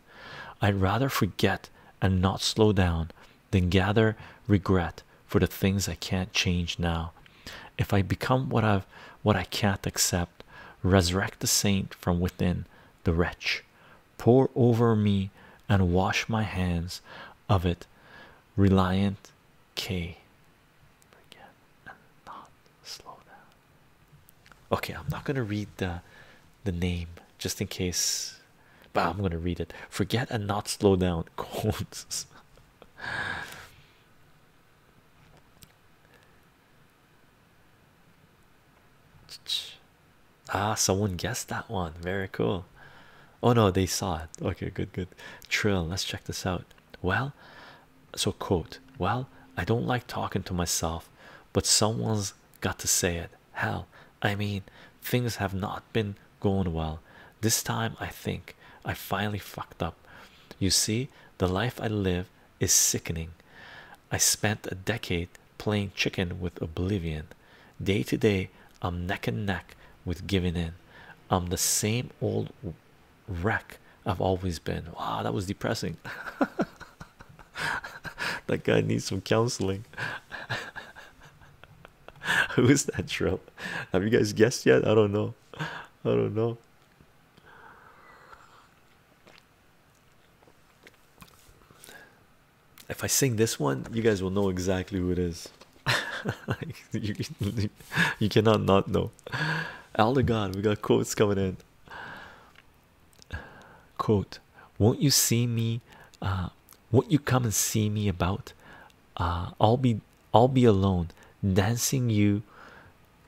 I'd rather forget and not slow down than gather regret for the things I can't change now. If I become what I've what I can't accept, resurrect the saint from within the wretch, pour over me and wash my hands of it. Reliant K. Okay, I'm not gonna read the the name just in case, but I'm gonna read it. Forget and not slow down. (laughs) ah, someone guessed that one. Very cool. Oh no, they saw it. Okay, good, good. Trill, let's check this out. Well, so quote, well, I don't like talking to myself, but someone's got to say it. Hell, I mean, things have not been going well. This time I think I finally fucked up. You see, the life I live is sickening. I spent a decade playing chicken with oblivion. Day to day, I'm neck and neck with giving in. I'm the same old wreck I've always been. Wow, that was depressing. (laughs) that guy needs some counseling. (laughs) (laughs) Who is that shrill? Have you guys guessed yet? I don't know. I don't know. If I sing this one, you guys will know exactly who it is. (laughs) you, cannot not know. God, we got quotes coming in. Quote, won't you see me? Uh, won't you come and see me about? Uh, I'll be I'll be alone dancing you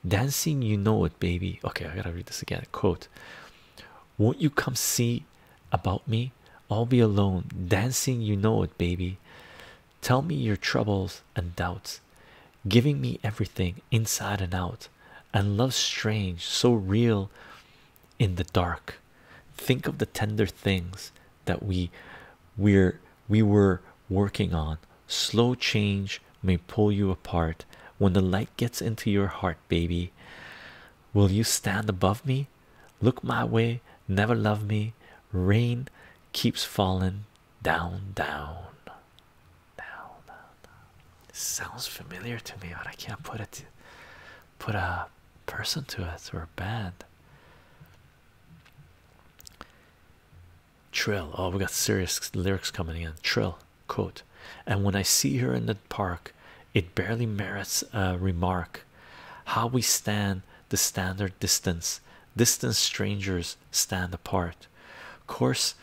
dancing you know it baby okay I gotta read this again quote won't you come see about me I'll be alone dancing you know it baby tell me your troubles and doubts giving me everything inside and out and love strange so real in the dark think of the tender things that we we're we were working on slow change may pull you apart when the light gets into your heart baby will you stand above me look my way never love me rain keeps falling down down down sounds familiar to me but i can't put it put a person to it or a band Trill. Oh, we got serious lyrics coming in. Trill quote. And when I see her in the park, it barely merits a remark. How we stand the standard distance, distant strangers stand apart. Course,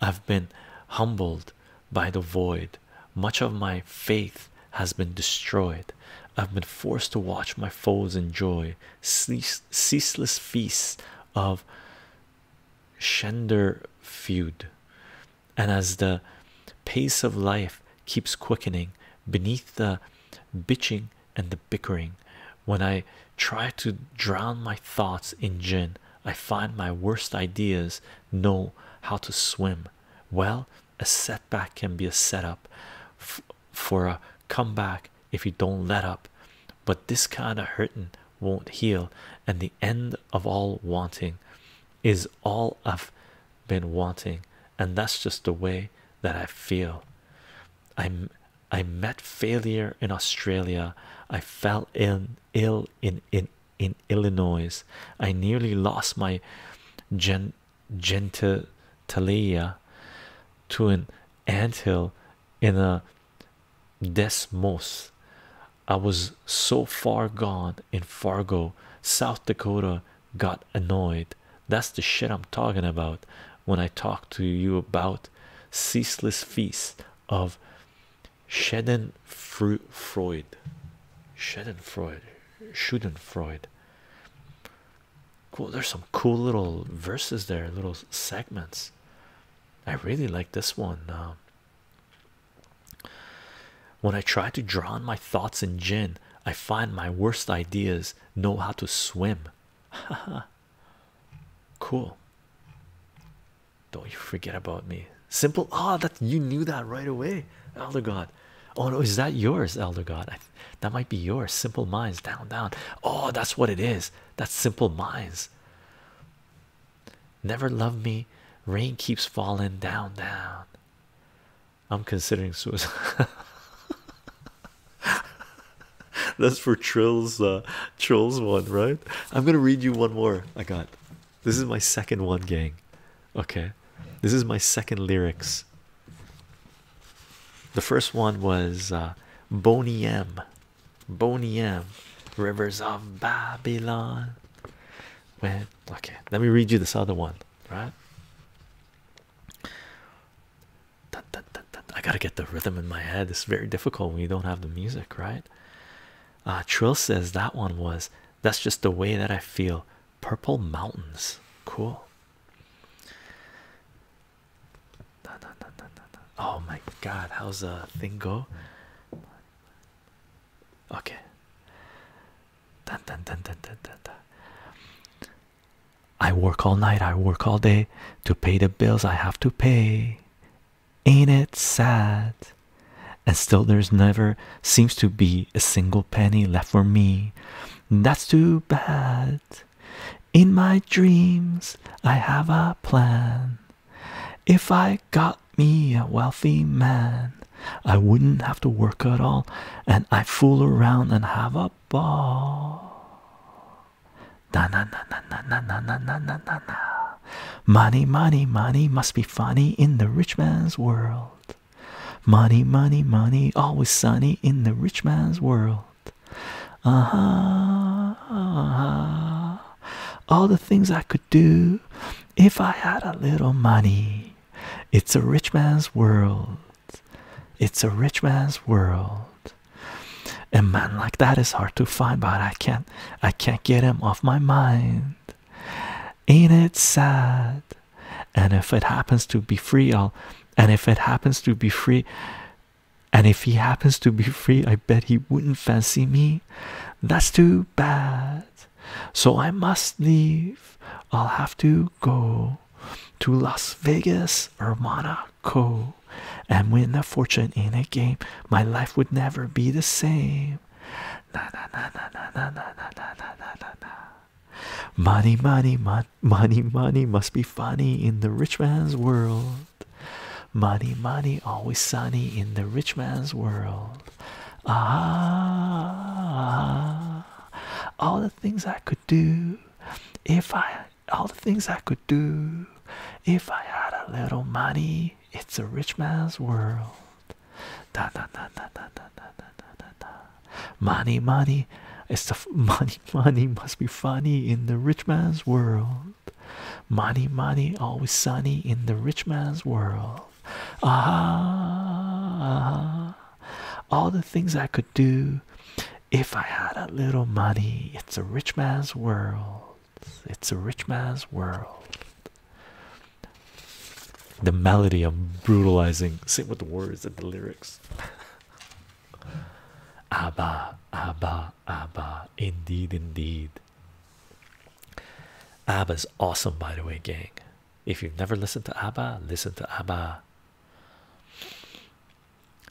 I've been humbled by the void. Much of my faith has been destroyed. I've been forced to watch my foes enjoy ceaseless feasts of Shender feud, and as the pace of life keeps quickening beneath the bitching and the bickering, when I try to drown my thoughts in gin, I find my worst ideas know how to swim. Well, a setback can be a setup for a come back, if you don't let up. But this kind of hurting won't heal, and the end of all wanting is all I've been wanting, and that's just the way that I feel. I'm I met failure in Australia. I fell in ill in in in Illinois. I nearly lost my gen genitalia to an anthill in a desmos. I was so far gone in Fargo, South Dakota, got annoyed. That's the shit I'm talking about when I talk to you about ceaseless feast of Schadenfreude. Schadenfreude. Schadenfreude cool there's some cool little verses there little segments i really like this one um, when i try to drown my thoughts in gin i find my worst ideas know how to swim (laughs) cool don't you forget about me simple ah that you knew that right away elder god oh no is that yours elder god that might be yours. Simple minds down, down. Oh, that's what it is. That's simple minds. Never love me. Rain keeps falling down, down. I'm considering suicide. (laughs) That's for Trill's uh, Trill's one, right? I'm gonna read you one more. I got this is my second one, gang. Okay, this is my second lyrics the first one was uh, Boney M. Boney M. Rivers of Babylon. When okay, let me read you this other one, right? I gotta get the rhythm in my head. It's very difficult when you don't have the music, right? Uh, Trill says that one was that's just the way that I feel. Purple Mountains, cool. Oh my god, how's the thing go? Okay. I work all night, I work all day to pay the bills I have to pay. Ain't it sad? And still, there's never seems to be a single penny left for me. That's too bad. In my dreams, I have a plan. If I got me a wealthy man, I wouldn't have to work at all, and I fool around and have a ball. Na na na na na na na na na na na Money, money, money must be funny in the rich man's world. Money, money, money, always sunny in the rich man's world. Uh-huh, uh-huh. All the things I could do if I had a little money. It's a rich man's world. It's a rich man's world. A man like that is hard to find, but I can't I can't get him off my mind. Ain't it sad? And if it happens to be free, I'll and if it happens to be free and if he happens to be free, I bet he wouldn't fancy me. That's too bad. So I must leave. I'll have to go to Las Vegas or Monaco and win a fortune in a game. My life would never be the same. Na na na na na na na na na na na. Money, money, money that money money must be funny in the rich man's world money money always sunny in the rich man's world ah all the things i could do if i all the things i could do if i had a little money it's a rich man's world da, da, da, da, da, da, da, da, da, da. money money it's the (laughs) money money must be funny in the rich man's world. Money, money, always sunny in the rich man's world. Ah, ah, -huh, all the things I could do if I had a little money. It's a rich man's world. It's a rich man's world. The melody, I'm brutalizing. Same with the words and the lyrics. (laughs) Abba, Abba, Abba, indeed, indeed. Abba's awesome, by the way, gang. If you've never listened to Abba, listen to Abba.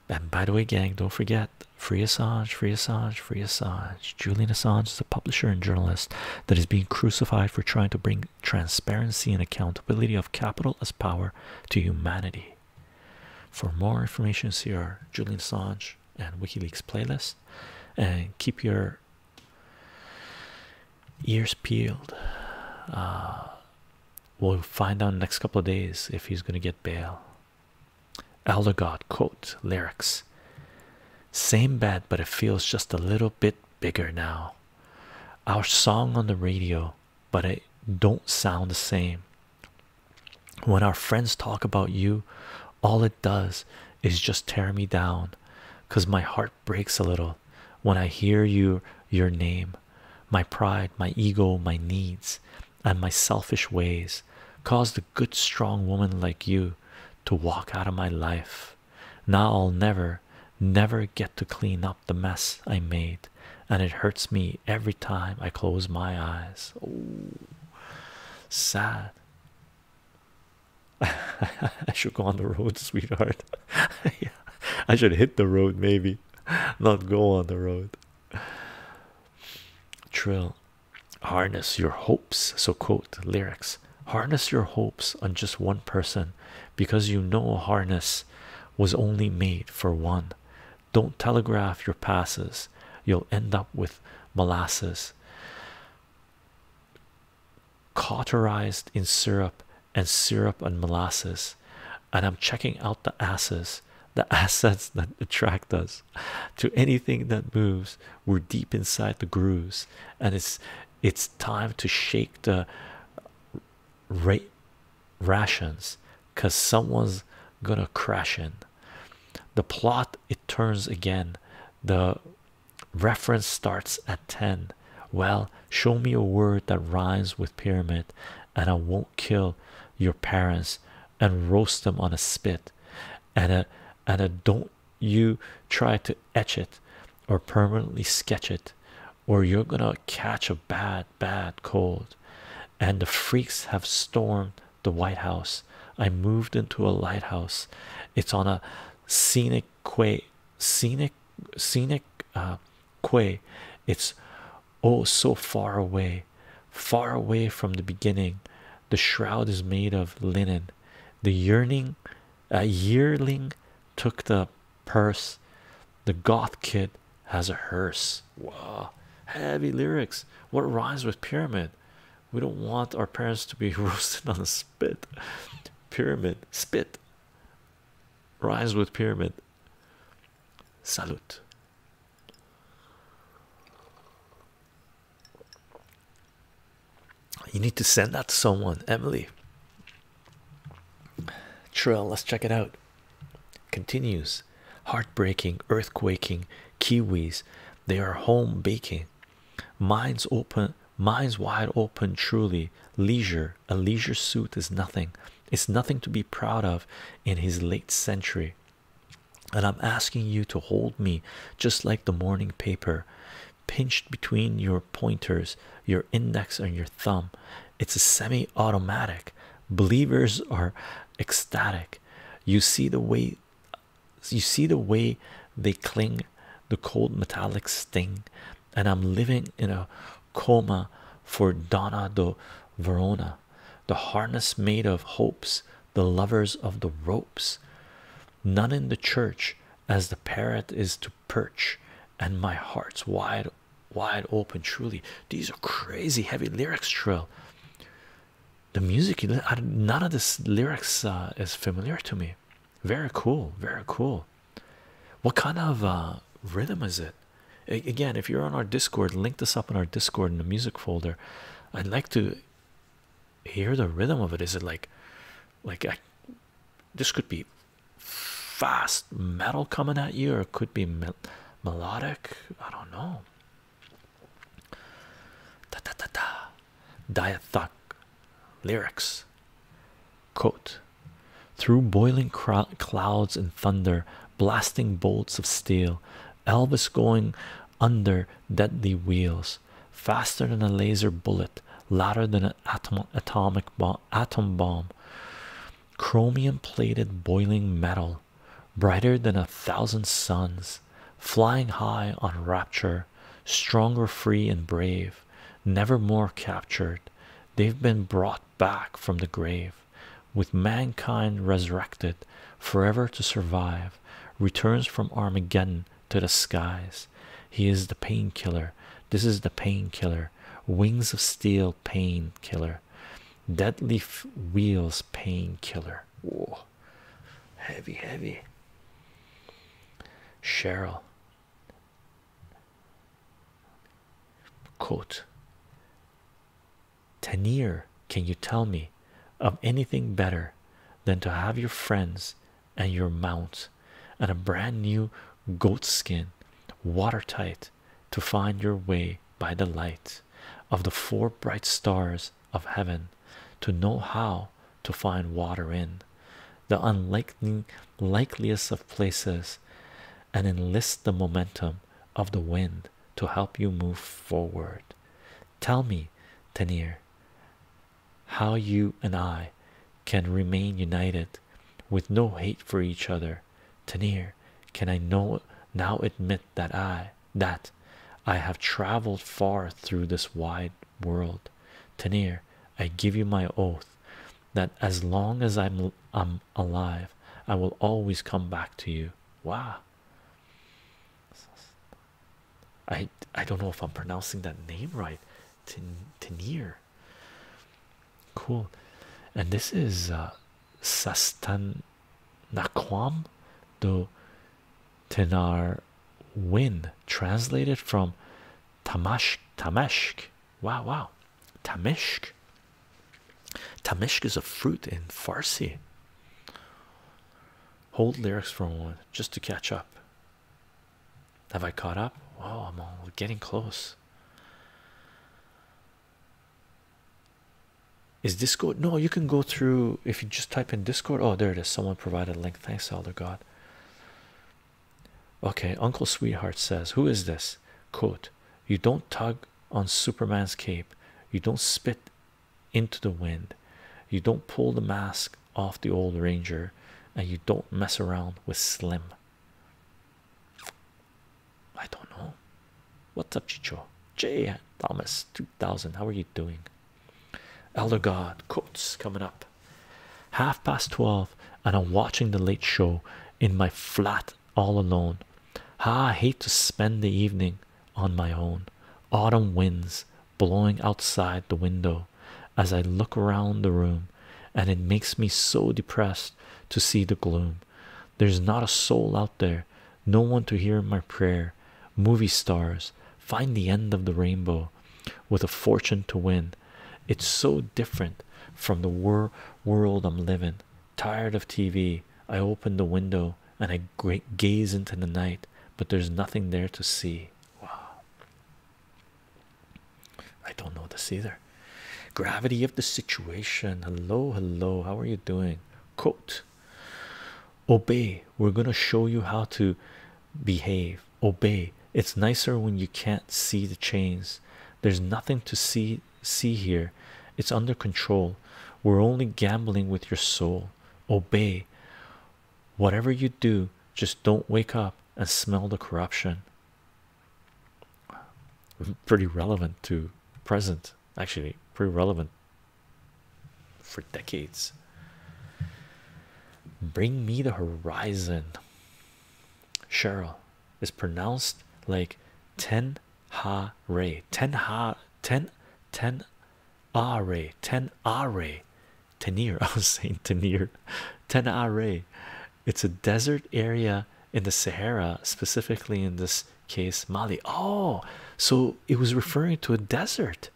And by the way, gang, don't forget Free Assange, Free Assange, Free Assange. Julian Assange is a publisher and journalist that is being crucified for trying to bring transparency and accountability of capital as power to humanity. For more information, see our Julian Assange and WikiLeaks playlist, and keep your ears peeled. Uh, we'll find out the next couple of days if he's going to get bail. Elder God quote lyrics. Same bed, but it feels just a little bit bigger now. Our song on the radio but it don't sound the same. When our friends talk about you, all it does is just tear me down because my heart breaks a little when I hear you, your name, my pride, my ego, my needs, and my selfish ways caused a good, strong woman like you to walk out of my life. Now I'll never, never get to clean up the mess I made and it hurts me every time I close my eyes. Oh, sad. (laughs) I should go on the road, (laughs) sweetheart. (laughs) I should hit the road, maybe not go on the road. Trill, harness your hopes. So, quote lyrics harness your hopes on just one person because you know harness was only made for one. Don't telegraph your passes, you'll end up with molasses cauterized in syrup and syrup and molasses. And I'm checking out the asses, the (laughs) assets that attract us to anything that moves. We're deep inside the grooves, and it's it's time to shake the rate rations because someone's gonna crash in the plot it turns again the reference starts at 10 well show me a word that rhymes with pyramid and i won't kill your parents and roast them on a spit and a uh, and a uh, don't you try to etch it or permanently sketch it or you're gonna catch a bad bad cold and the freaks have stormed the White House. I moved into a lighthouse. It's on a scenic quay, scenic, scenic uh, quay. It's oh so far away, far away from the beginning. The shroud is made of linen. The yearning, a yearling took the purse. The goth kid has a hearse. Wow, heavy lyrics. What rhymes with pyramid? We don't want our parents to be (laughs) roasted on the spit. pyramid spit rhymes with pyramid. Salute. You need to send that to someone, Emily. Trill, let's check it out. Continues heart heartbreaking, earthquaking Kiwis. They are home baking. Minds open, minds wide open, truly. Leisure. A leisure suit is nothing. It's nothing to be proud of in his late century. And I'm asking you to hold me just like the morning paper, pinched between your pointers, your index, and your thumb. It's a semi automatic. Believers are ecstatic you see the way you see the way they cling the cold metallic sting and i'm living in a coma for donna do verona the harness made of hopes the lovers of the ropes none in the church as the parrot is to perch and my heart's wide wide open truly these are crazy heavy lyrics trill the music, none of this lyrics uh, is familiar to me. Very cool, very cool. What kind of uh, rhythm is it? again, if you're on our Discord, link this up in our Discord in the music folder. I'd like to hear the rhythm of it. Is it like, like I, this could be fast metal coming at you, or it could be melodic? I don't know. Da da da da. Diathok lyrics. Quote Through boiling clouds and thunder, blasting bolts of steel, Elvis going under deadly wheels, faster than a laser bullet, louder than an atom atomic bomb, atom bomb. Chromium plated boiling metal brighter than a thousand suns, flying high on rapture, stronger, free, and brave, never more captured. They've been brought back from the grave, with mankind resurrected, forever to survive, returns from Armageddon to the skies. He is the painkiller. This is the painkiller. Wings of steel painkiller deadly wheels painkiller whoa heavy heavy cheryl quote Tanir, can you tell me of anything better than to have your friends and your mount and a brand new goatskin, watertight to find your way by the light of the four bright stars of heaven to know how to find water in the unlikely of places and enlist the momentum of the wind to help you move forward tell me Tenir how you and I can remain united with no hate for each other Tenir can I know now admit that I that I have traveled far through this wide world. Tanir. I give you my oath that as long as I'm I'm alive, I will always come back to you. Wow. I I don't know if I'm pronouncing that name right. Tanir. Cool. And this is uh Sastan Naquam do Tenar Win, translated from Tamash Tameshk. Wow, wow, Tamishk. Tamishk is a fruit in Farsi. Hold lyrics for a moment, just to catch up. Have I caught up? Wow, I'm getting close. Is Discord? No, you can go through if you just type in Discord. Oh, there it is. Someone provided a link. Thanks, Elder God. Okay, Uncle Sweetheart says, Who is this? Quote, you don't tug on Superman's cape, you don't spit into the wind, you don't pull the mask off the old ranger, and you don't mess around with Slim. I don't know. What's up, Chicho? J. Thomas 2000. How are you doing? Elder God Coates coming up. Half past 12, and I'm watching The Late Show in my flat all alone. Ah, I hate to spend the evening on my own. Autumn winds blowing outside the window as I look round the room, and it makes me so depressed to see the gloom. There's not a soul out there, no one to hear my prayer. Movie stars find the end of the rainbow with a fortune to win. It's so different from the wor world I'm living. Tired of TV, I open the window and I g gaze into the night, but there's nothing there to see. Wow. I don't know this either. Gravity of the situation. Hello, hello. How are you doing? Quote. Obey. We're going to show you how to behave. Obey. It's nicer when you can't see the chains. There's nothing to see see here. It's under control. We're only gambling with your soul. Obey. Whatever you do, just don't wake up and smell the corruption. (laughs) Pretty relevant to present actually pretty relevant for decades bring me the horizon cheryl is pronounced like ten ha ray ten ha ten ten are ten are ray tenir (laughs) i was saying tenir ten are ray it's a desert area in the sahara specifically in this case Mali. Oh, so it was referring to a desert.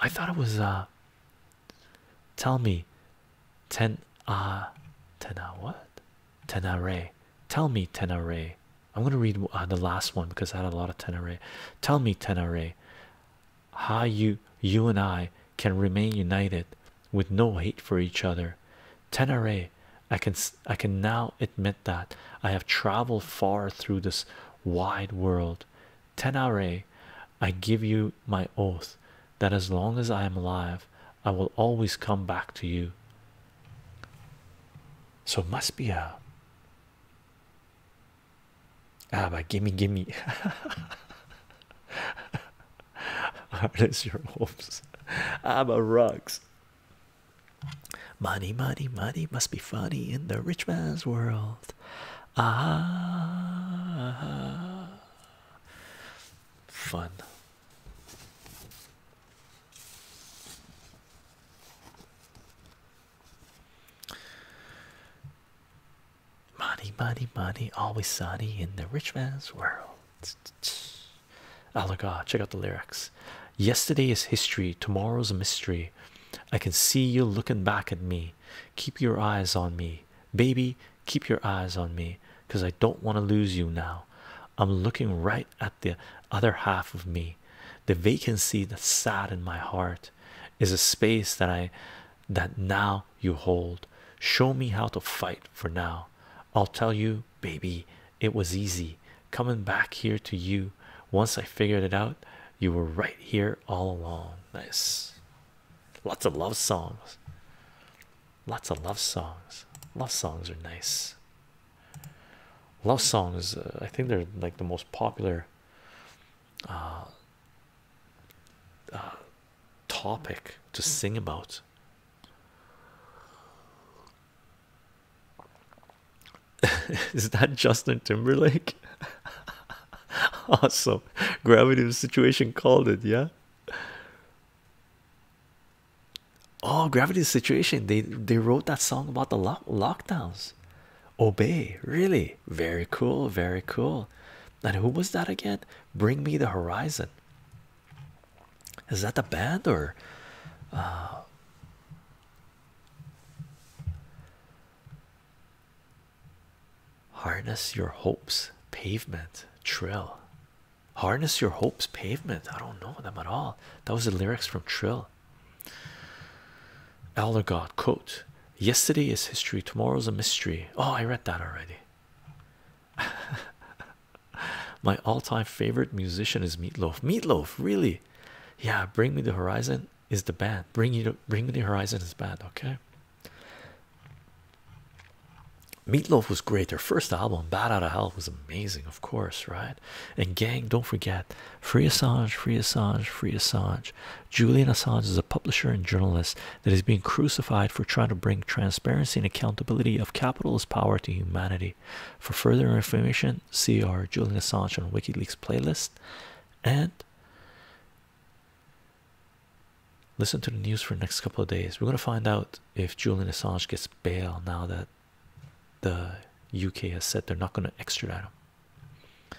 I thought it was uh tell me ten uh tena uh, what tenare tell me tenare i'm going to read uh, the last one because i had a lot of tenare tell me tenare how you you and i can remain united with no hate for each other tenare i can i can now admit that I have traveled far through this wide world. Tenare, I give you my oath that as long as I am alive, I will always come back to you. So it must be a ah, but gimme, gimme. (laughs) Artist, your hopes. Abba rugs. Money, money, money must be funny in the rich man's world. Ah, fun. Money, money, money, always sunny in the rich man's world. Oh, look, ah, check out the lyrics. Yesterday is history, tomorrow's a mystery. I can see you looking back at me. Keep your eyes on me, baby. Keep your eyes on me because I don't want to lose you now. I'm looking right at the other half of me. The vacancy that's sad in my heart is a space that I that now you hold. Show me how to fight for now. I'll tell you, baby, it was easy coming back here to you once I figured it out. You were right here all along. Nice, lots of love songs, lots of love songs. Love songs are nice. Love songs, uh, I think they're like the most popular uh, uh, topic to sing about. (laughs) Is that Justin Timberlake? (laughs) awesome. Gravity of the situation called it, yeah. Oh, gravity of the situation. They they wrote that song about the lock lockdowns. Obey, really. Very cool, very cool. And who was that again? Bring me the horizon. Is that the band or uh, Harness your hopes, pavement, trill. Harness your hopes, pavement. I don't know them at all. That was the lyrics from Trill. Elder God quote Yesterday is history, tomorrow's a mystery. Oh, I read that already. (laughs) My all-time favorite musician is Meatloaf. Meatloaf, really? Yeah, Bring Me the Horizon is the band. Bring you Bring Me the Horizon is bad. Okay. Meatloaf was great. Their first album, Bad Out of Hell, was amazing, of course, right? And gang, don't forget, Free Assange, Free Assange, Free Assange. Julian Assange is a publisher and journalist that is being crucified for trying to bring transparency and accountability of capitalist power to humanity. For further information, see our Julian Assange on WikiLeaks playlist and listen to the news for the next couple of days. We're going to find out if Julian Assange gets bail now that the UK has said they're not going to extradite him.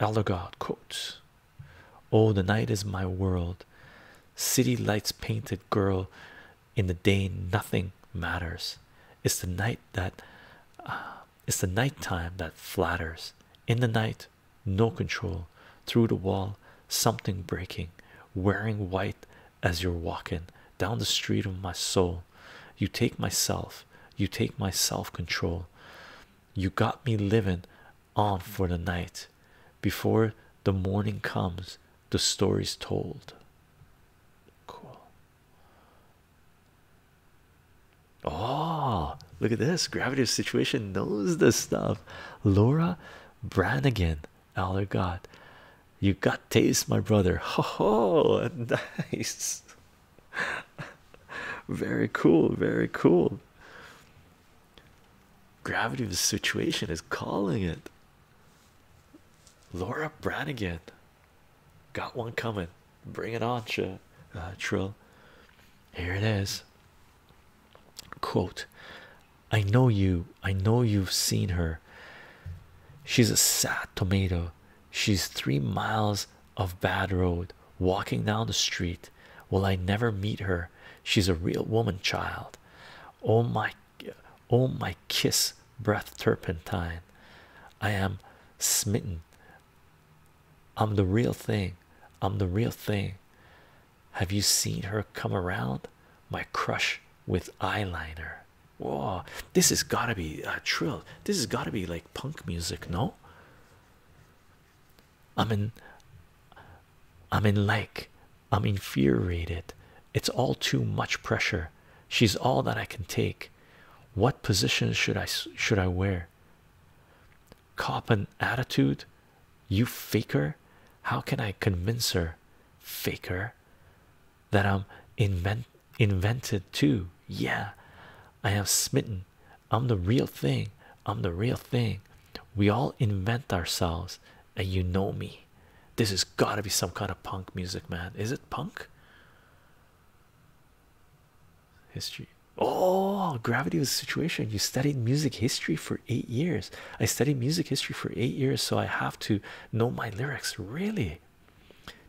Elder God quotes Oh, the night is my world. City lights painted girl. In the day, nothing matters. It's the night that uh, it's the night time that flatters. In the night, no control. Through the wall, something breaking, wearing white as you're walking down the street of my soul. You take myself, you take my self control. You got me livin' on for the night. Before the morning comes, the story's told. Cool. Oh, look at this. Gravity of Situation knows the stuff. Laura Branigan, Aller God. You got taste, my brother. Ho ho, (laughs) nice. Very cool, very cool. Gravity of the Situation is calling it. Laura Branigan. Got one coming. Bring it on, Ch uh, Trill. Here it is. Quote I know you. I know you've seen her. She's a sad tomato. She's three miles of bad road walking down the street. Will I never meet her? She's a real woman child. Oh my, oh my kiss breath turpentine. I am smitten. I'm the real thing. I'm the real thing. Have you seen her come around? My crush with eyeliner. Whoa, this has got to be a trill. This has got to be like punk music, no? I'm in, I'm in like, I'm infuriated. It's all too much pressure she's all that I can take. What position should I should I wear? Cop an attitude, you faker. How can I convince her, faker, that I'm invent invented too? Yeah, I am smitten. I'm the real thing. I'm the real thing. We all invent ourselves, and you know me. This has got to be some kind of punk music, man. Is it punk? History. Oh, gravity of the situation. You studied music history for eight years. I studied music history for eight years, so I have to know my lyrics. Really?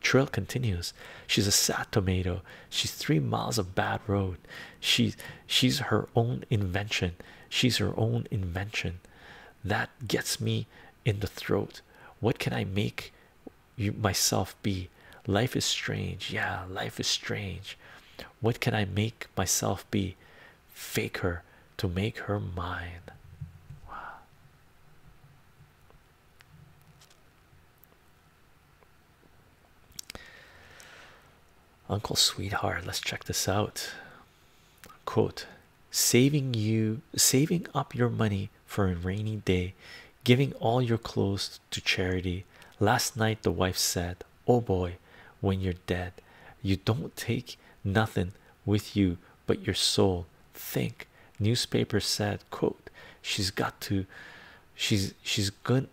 Trill continues. She's a sad tomato. She's three miles of bad road. She's she's her own invention. She's her own invention. That gets me in the throat. What can I make? you myself be life is strange yeah life is strange what can i make myself be fake her to make her mine wow. uncle sweetheart let's check this out quote saving you saving up your money for a rainy day giving all your clothes to charity. Last night the wife said, Oh boy, when you're dead, you don't take nothing with you but your soul. Think newspaper said, quote, she's got to she's she's good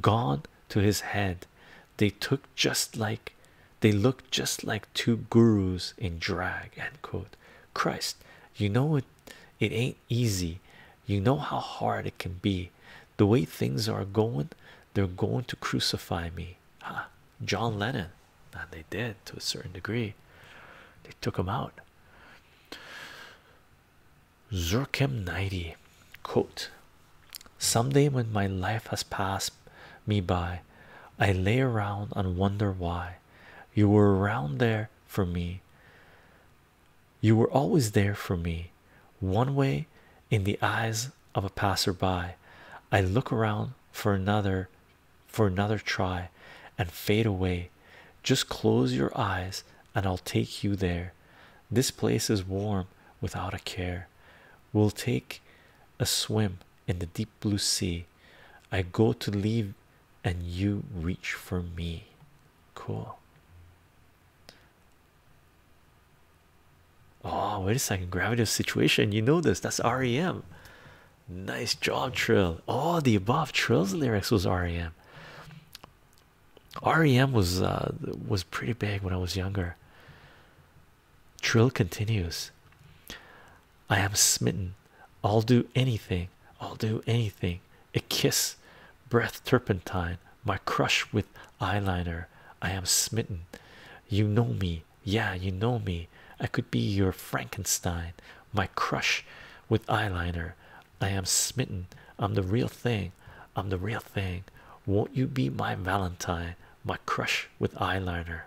gone to his head. They took just like they looked just like two gurus in drag end quote. Christ, you know it it ain't easy. You know how hard it can be. The way things are going, they're going to crucify me. Huh. John Lennon, and they did to a certain degree. They took him out. Zircam 90 quote "Some day when my life has passed me by, I lay around and wonder why you were around there for me. You were always there for me. One way in the eyes of a passerby, I look around for another for another try and fade away. Just close your eyes and I'll take you there. This place is warm without a care. We'll take a swim in the deep blue sea. I go to leave and you reach for me. Cool. Oh, wait a second. Gravity situation. You know this. That's REM. Nice job, Trill. Oh, the above Trill's lyrics was REM. REM was uh, was pretty big when I was younger. Trill continues. I am smitten I'll do anything, I'll do anything. A kiss, breath turpentine, my crush with eyeliner. I am smitten. You know me, yeah, you know me. I could be your Frankenstein, my crush with eyeliner. I am smitten. I'm the real thing. I'm the real thing. Won't you be my Valentine, my crush with eyeliner?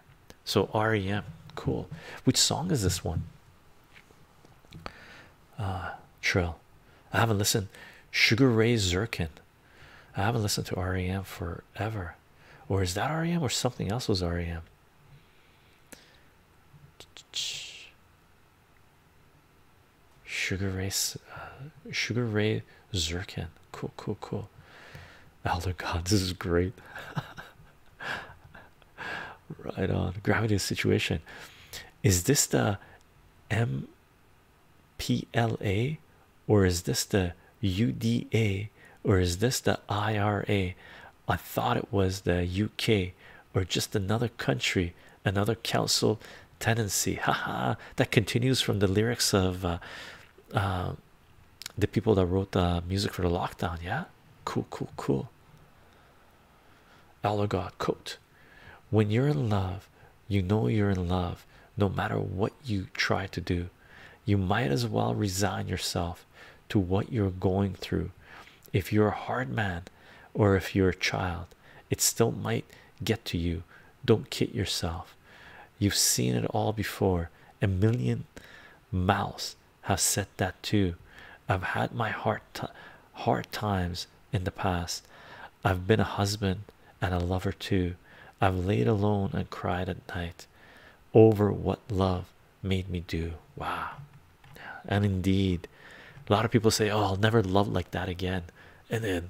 So REM, cool. Which song is this one? uh trill i haven't listened sugar ray zirkin i haven't listened to rem forever or is that rem or something else was rem sugar race sugar ray uh, zirkin cool cool cool elder god this is great (laughs) right on gravity situation is this the mpla or is this the uda or is this the ira i thought it was the uk or just another country another council tenancy. Ha ha! that continues from the lyrics of uh, uh, the people that wrote the music for the lockdown yeah cool cool cool Allergod quote When you're in love, you know you're in love no matter what you try to do. You might as well resign yourself to what you're going through. If you're a hard man or if you're a child, it still might get to you. Don't kid yourself. You've seen it all before. A million miles have said that too. I've had my hard hard times in the past. I've been a husband and a lover too. I've laid alone and cried at night over what love made me do. Wow. And indeed, a lot of people say, "Oh, I'll never love like that again," and then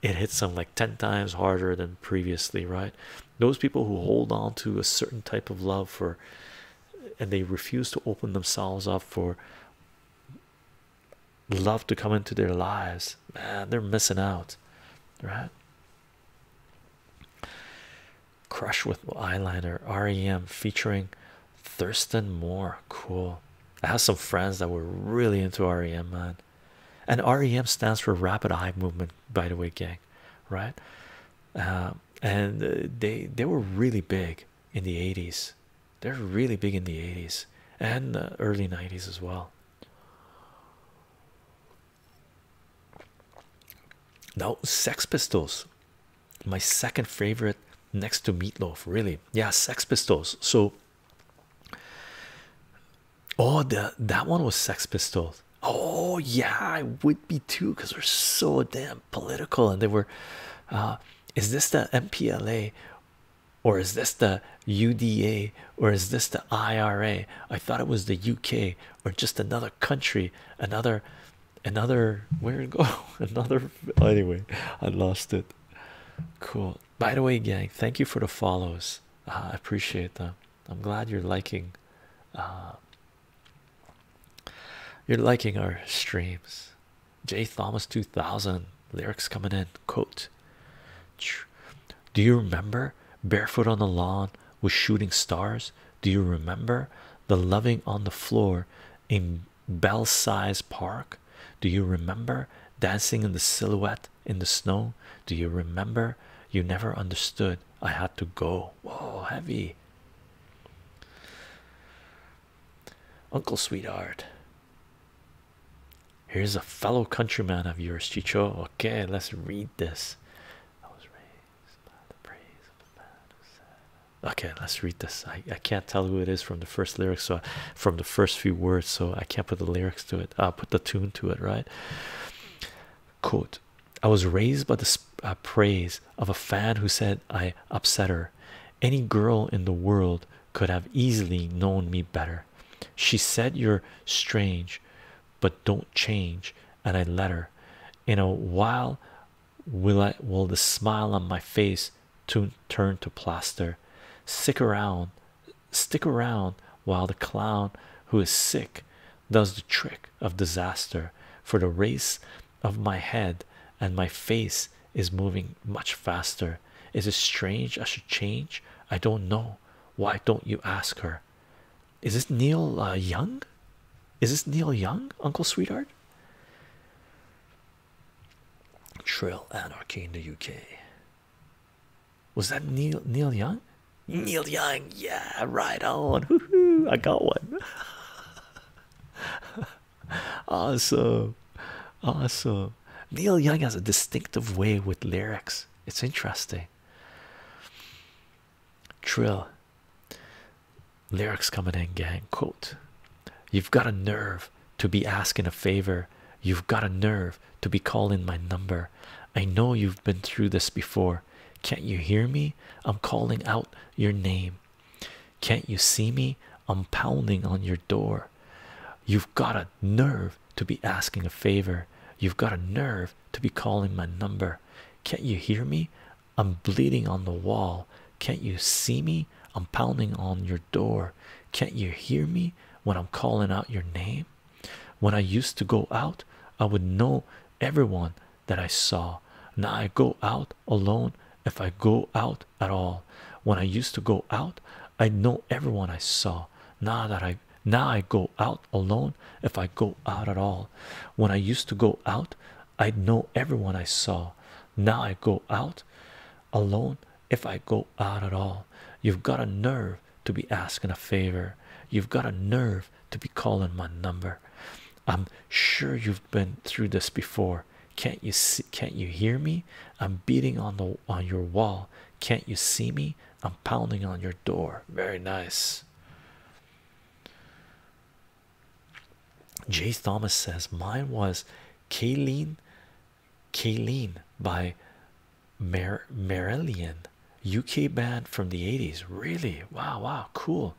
it hits them like 10 times harder than previously, right? Those people who hold on to a certain type of love for and they refuse to open themselves up for love to come into their lives man they're missing out right crush with eyeliner rem featuring thurston moore cool i have some friends that were really into rem man and rem stands for rapid eye movement by the way gang right uh, and uh, they they were really big in the 80s they're really big in the 80s and the early 90s as well now sex pistols my second favorite next to meatloaf really yeah sex pistols so oh the that one was sex pistols oh yeah i would be too because they're so damn political and they were uh, is this the MPLA or is this the UDA or is this the IRA? I thought it was the UK or just another country, another, another, where go? (laughs) Another, anyway, I lost it. Cool. By the way, gang, thank you for the follows. Uh, I appreciate them. I'm glad you're liking. Uh, you're liking our streams J. Thomas 2000 lyrics coming in. Do you remember barefoot on the lawn with shooting stars? Do you remember the loving on the floor in Bell Park? Do you remember dancing in the silhouette in the snow? Do you remember you never understood? I had to go. Whoa, heavy. Uncle Sweetheart. Here's a fellow countryman of yours, Chicho. Okay, let's read this. Okay, let's read this. I, I can't tell who it is from the first lyrics, so from the first few words, so I can't put the lyrics to it. I'll put the tune to it, right? Quote I was raised by the uh, praise of a fad who said I upset her. Any girl in the world could have easily known me better. She said, You're strange, but don't change. And I let her. In a while, will I will the smile on my face to turn to plaster? Stick around, stick around while the clown who is sick does the trick of disaster for the race of my head and my face is moving much faster. Is it strange I should change? I don't know. Why don't you ask her? Is this Neil uh, Young? Is this Neil Young, Uncle Sweetheart? Trill anarchy in the UK. Was that Neil Neil Young? Neil Young, yeah, right on. (laughs) I got one. (laughs) (laughs) awesome, awesome. Neil Young has a distinctive way with lyrics, it's interesting. Trill lyrics coming in, gang. Quote You've got a nerve to be asking a favor, you've got a nerve to be calling my number. I know you've been through this before. Can't you hear me? I'm calling out your name. Can't you see me? I'm pounding on your door. You've got a nerve to be asking a favor. You've got a nerve to be calling my number. Can't you hear me? I'm bleeding on the wall. Can't you see me? I'm pounding on your door. Can't you hear me when I'm calling out your name? When I used to go out, I would know everyone that I saw. Now I go out alone if I go out at all. When I used to go out, I know everyone I saw. Now that I now I go out alone, if I go out at all. When I used to go out, I know everyone I saw. Now I go out alone if I go out at all. You've got a nerve to be asking a favor. You've got a nerve to be calling my number. I'm sure you've been through this before. Can't you see? Can't you hear me? I'm beating on the on your wall. Can't you see me? I'm pounding on your door. Very nice. Jay Thomas says mine was Kayleen Kayleen by Mer Marillion UK band from the 80s. Really? Wow, wow, cool.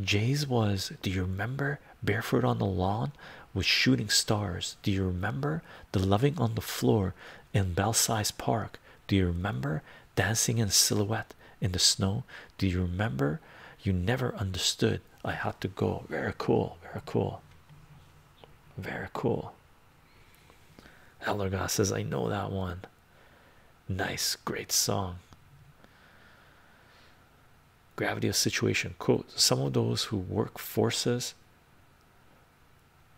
Jay's was, do you remember Barefoot on the Lawn with Shooting Stars? Do you remember The Loving on the Floor in Belsize Park? Do you remember Dancing in Silhouette in the Snow? Do you remember You Never Understood? I Had to Go. Very cool, very cool, very cool. Ellergoss says, I know that one. Nice, great song gravity of situation quote some of those who work forces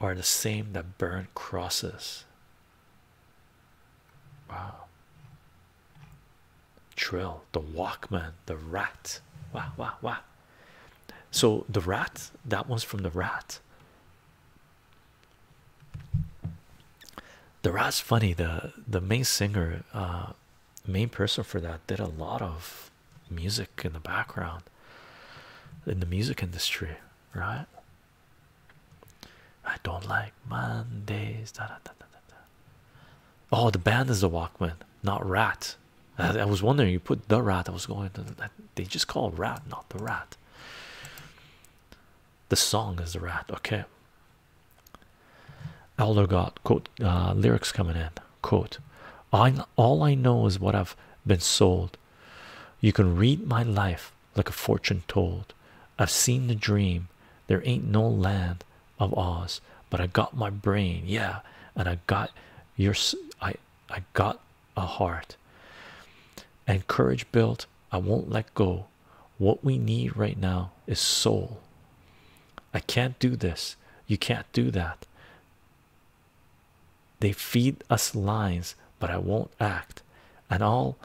are the same that burn crosses wow trill the walkman the rat wow wow wow so the rat that one's from the rat the rat's funny the the main singer uh main person for that did a lot of music in the background in the music industry, right? I don't like Mondays. Oh, the band is the Walkmen, not Rat. I, was wondering, you put the Rat. I was going to they just called Rat, not the Rat. The song is the Rat. Okay, Elder God quote uh, lyrics coming in quote I all I know is what I've been sold. You can read my life like a fortune told. I've seen the dream. There ain't no land of Oz, but I got my brain, yeah, and I got your I I got a heart and courage built. I won't let go. What we need right now is soul. I can't do this, you can't do that. They feed us lines, but I won't act, and all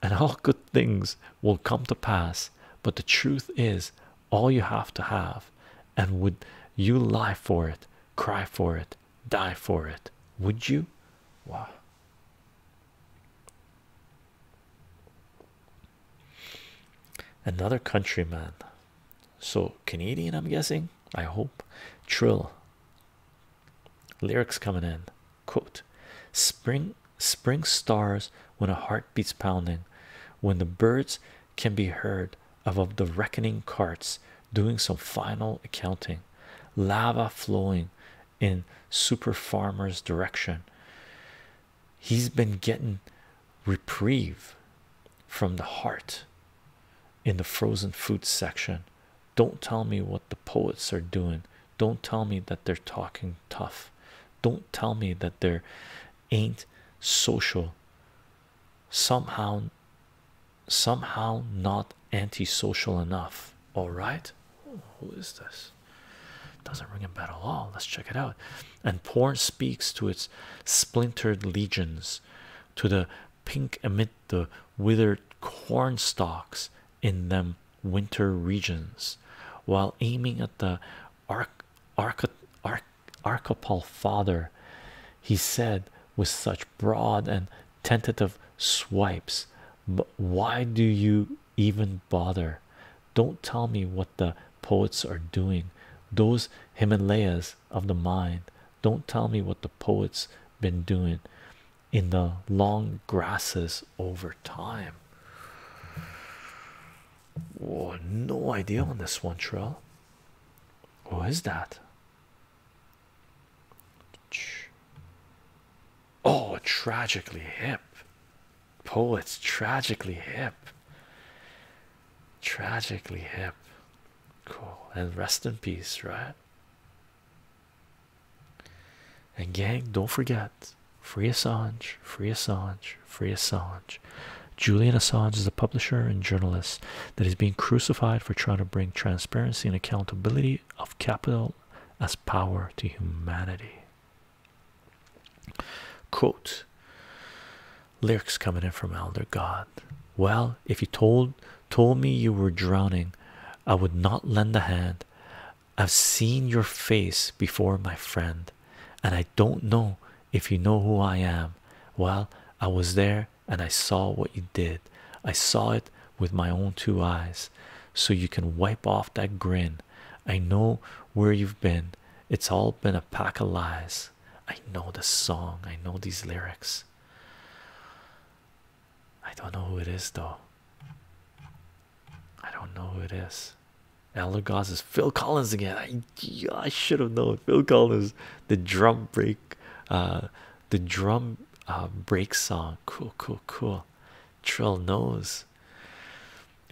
and all (laughs) good things will come to pass. But the truth is all you have to have, and would you lie for it, cry for it, die for it? Would you? Why. Another countryman, so Canadian, I'm guessing. I hope. Trill. Lyrics coming in. Quote: Spring, spring stars when a heart beats pounding, when the birds can be heard above the reckoning carts doing some final accounting, lava flowing in super farmer's direction he's been getting reprieve from the heart in the frozen food section. Don't tell me what the poets are doing. Don't tell me that they're talking tough. Don't tell me that there ain't social somehow somehow not antisocial enough. All right, who is this? Doesn't ring a bell at all. Let's check it out. And porn speaks to its splintered legions, to the pink amid the withered corn stalks in them winter regions, while aiming at the arc arc archipel father, he said with such broad and tentative swipes. But why do you even bother. Don't tell me what the poets are doing, those Himalayas of the mind. Don't tell me what the poets been doing in the long grasses over time. Whoa, no idea on this one, Trail. What is that? Oh, tragically hip poets tragically hip tragically hip cool and rest in peace right and gang don't forget free assange free assange free assange julian assange is a publisher and journalist that is being crucified for trying to bring transparency and accountability of capital as power to humanity Quote lyrics coming in from Elder God. Well, if you told told me you were drowning, I would not lend a hand. I've seen your face before, my friend, and I don't know if you know who I am. Well, I was there and I saw what you did. I saw it with my own two eyes. So you can wipe off that grin. I know where you've been. It's all been a pack of lies. I know the song, I know these lyrics. I don't know who it is, though. I don't know who it is. Elder Goss is Phil Collins again. I, I should have known Phil Collins, the drum break, uh, the drum uh, break song. Cool, cool, cool. Trill knows.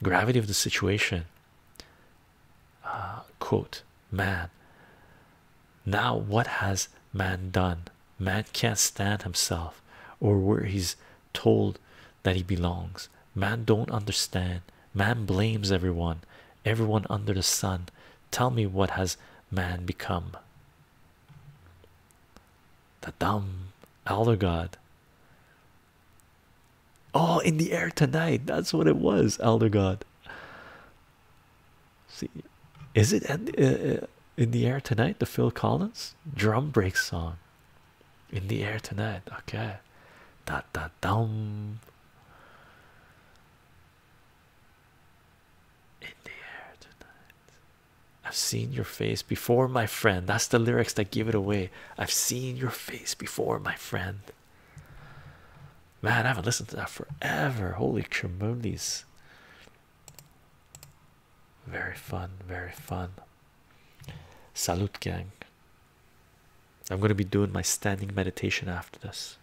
Gravity of the situation uh, quote man now what has man done man can't stand himself or where he's told that he belongs man don't understand man blames everyone everyone under the sun tell me what has man become the dumb elder god Oh, in the air tonight. That's what it was, Elder God. See, is it uh, uh, in the air tonight? The Phil Collins drum break song. In the air tonight. Okay. Da da dum. In the air tonight. I've seen your face before, my friend. That's the lyrics that give it away. I've seen your face before, my friend. Man, I haven't listened to that forever. Holy tremendous. Very fun, very fun. Salut, gang. I'm going to be doing my standing meditation after this.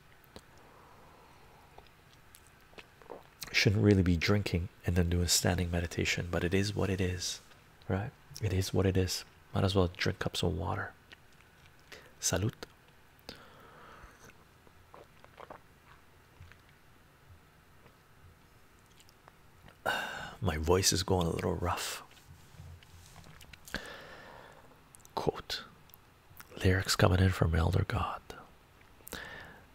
Shouldn't really be drinking and then doing standing meditation, but it is what it is right? It is what it is. Might as well drink up some water. Salud. (sighs) My voice is going a little rough. Quote Lyrics coming in from Elder God.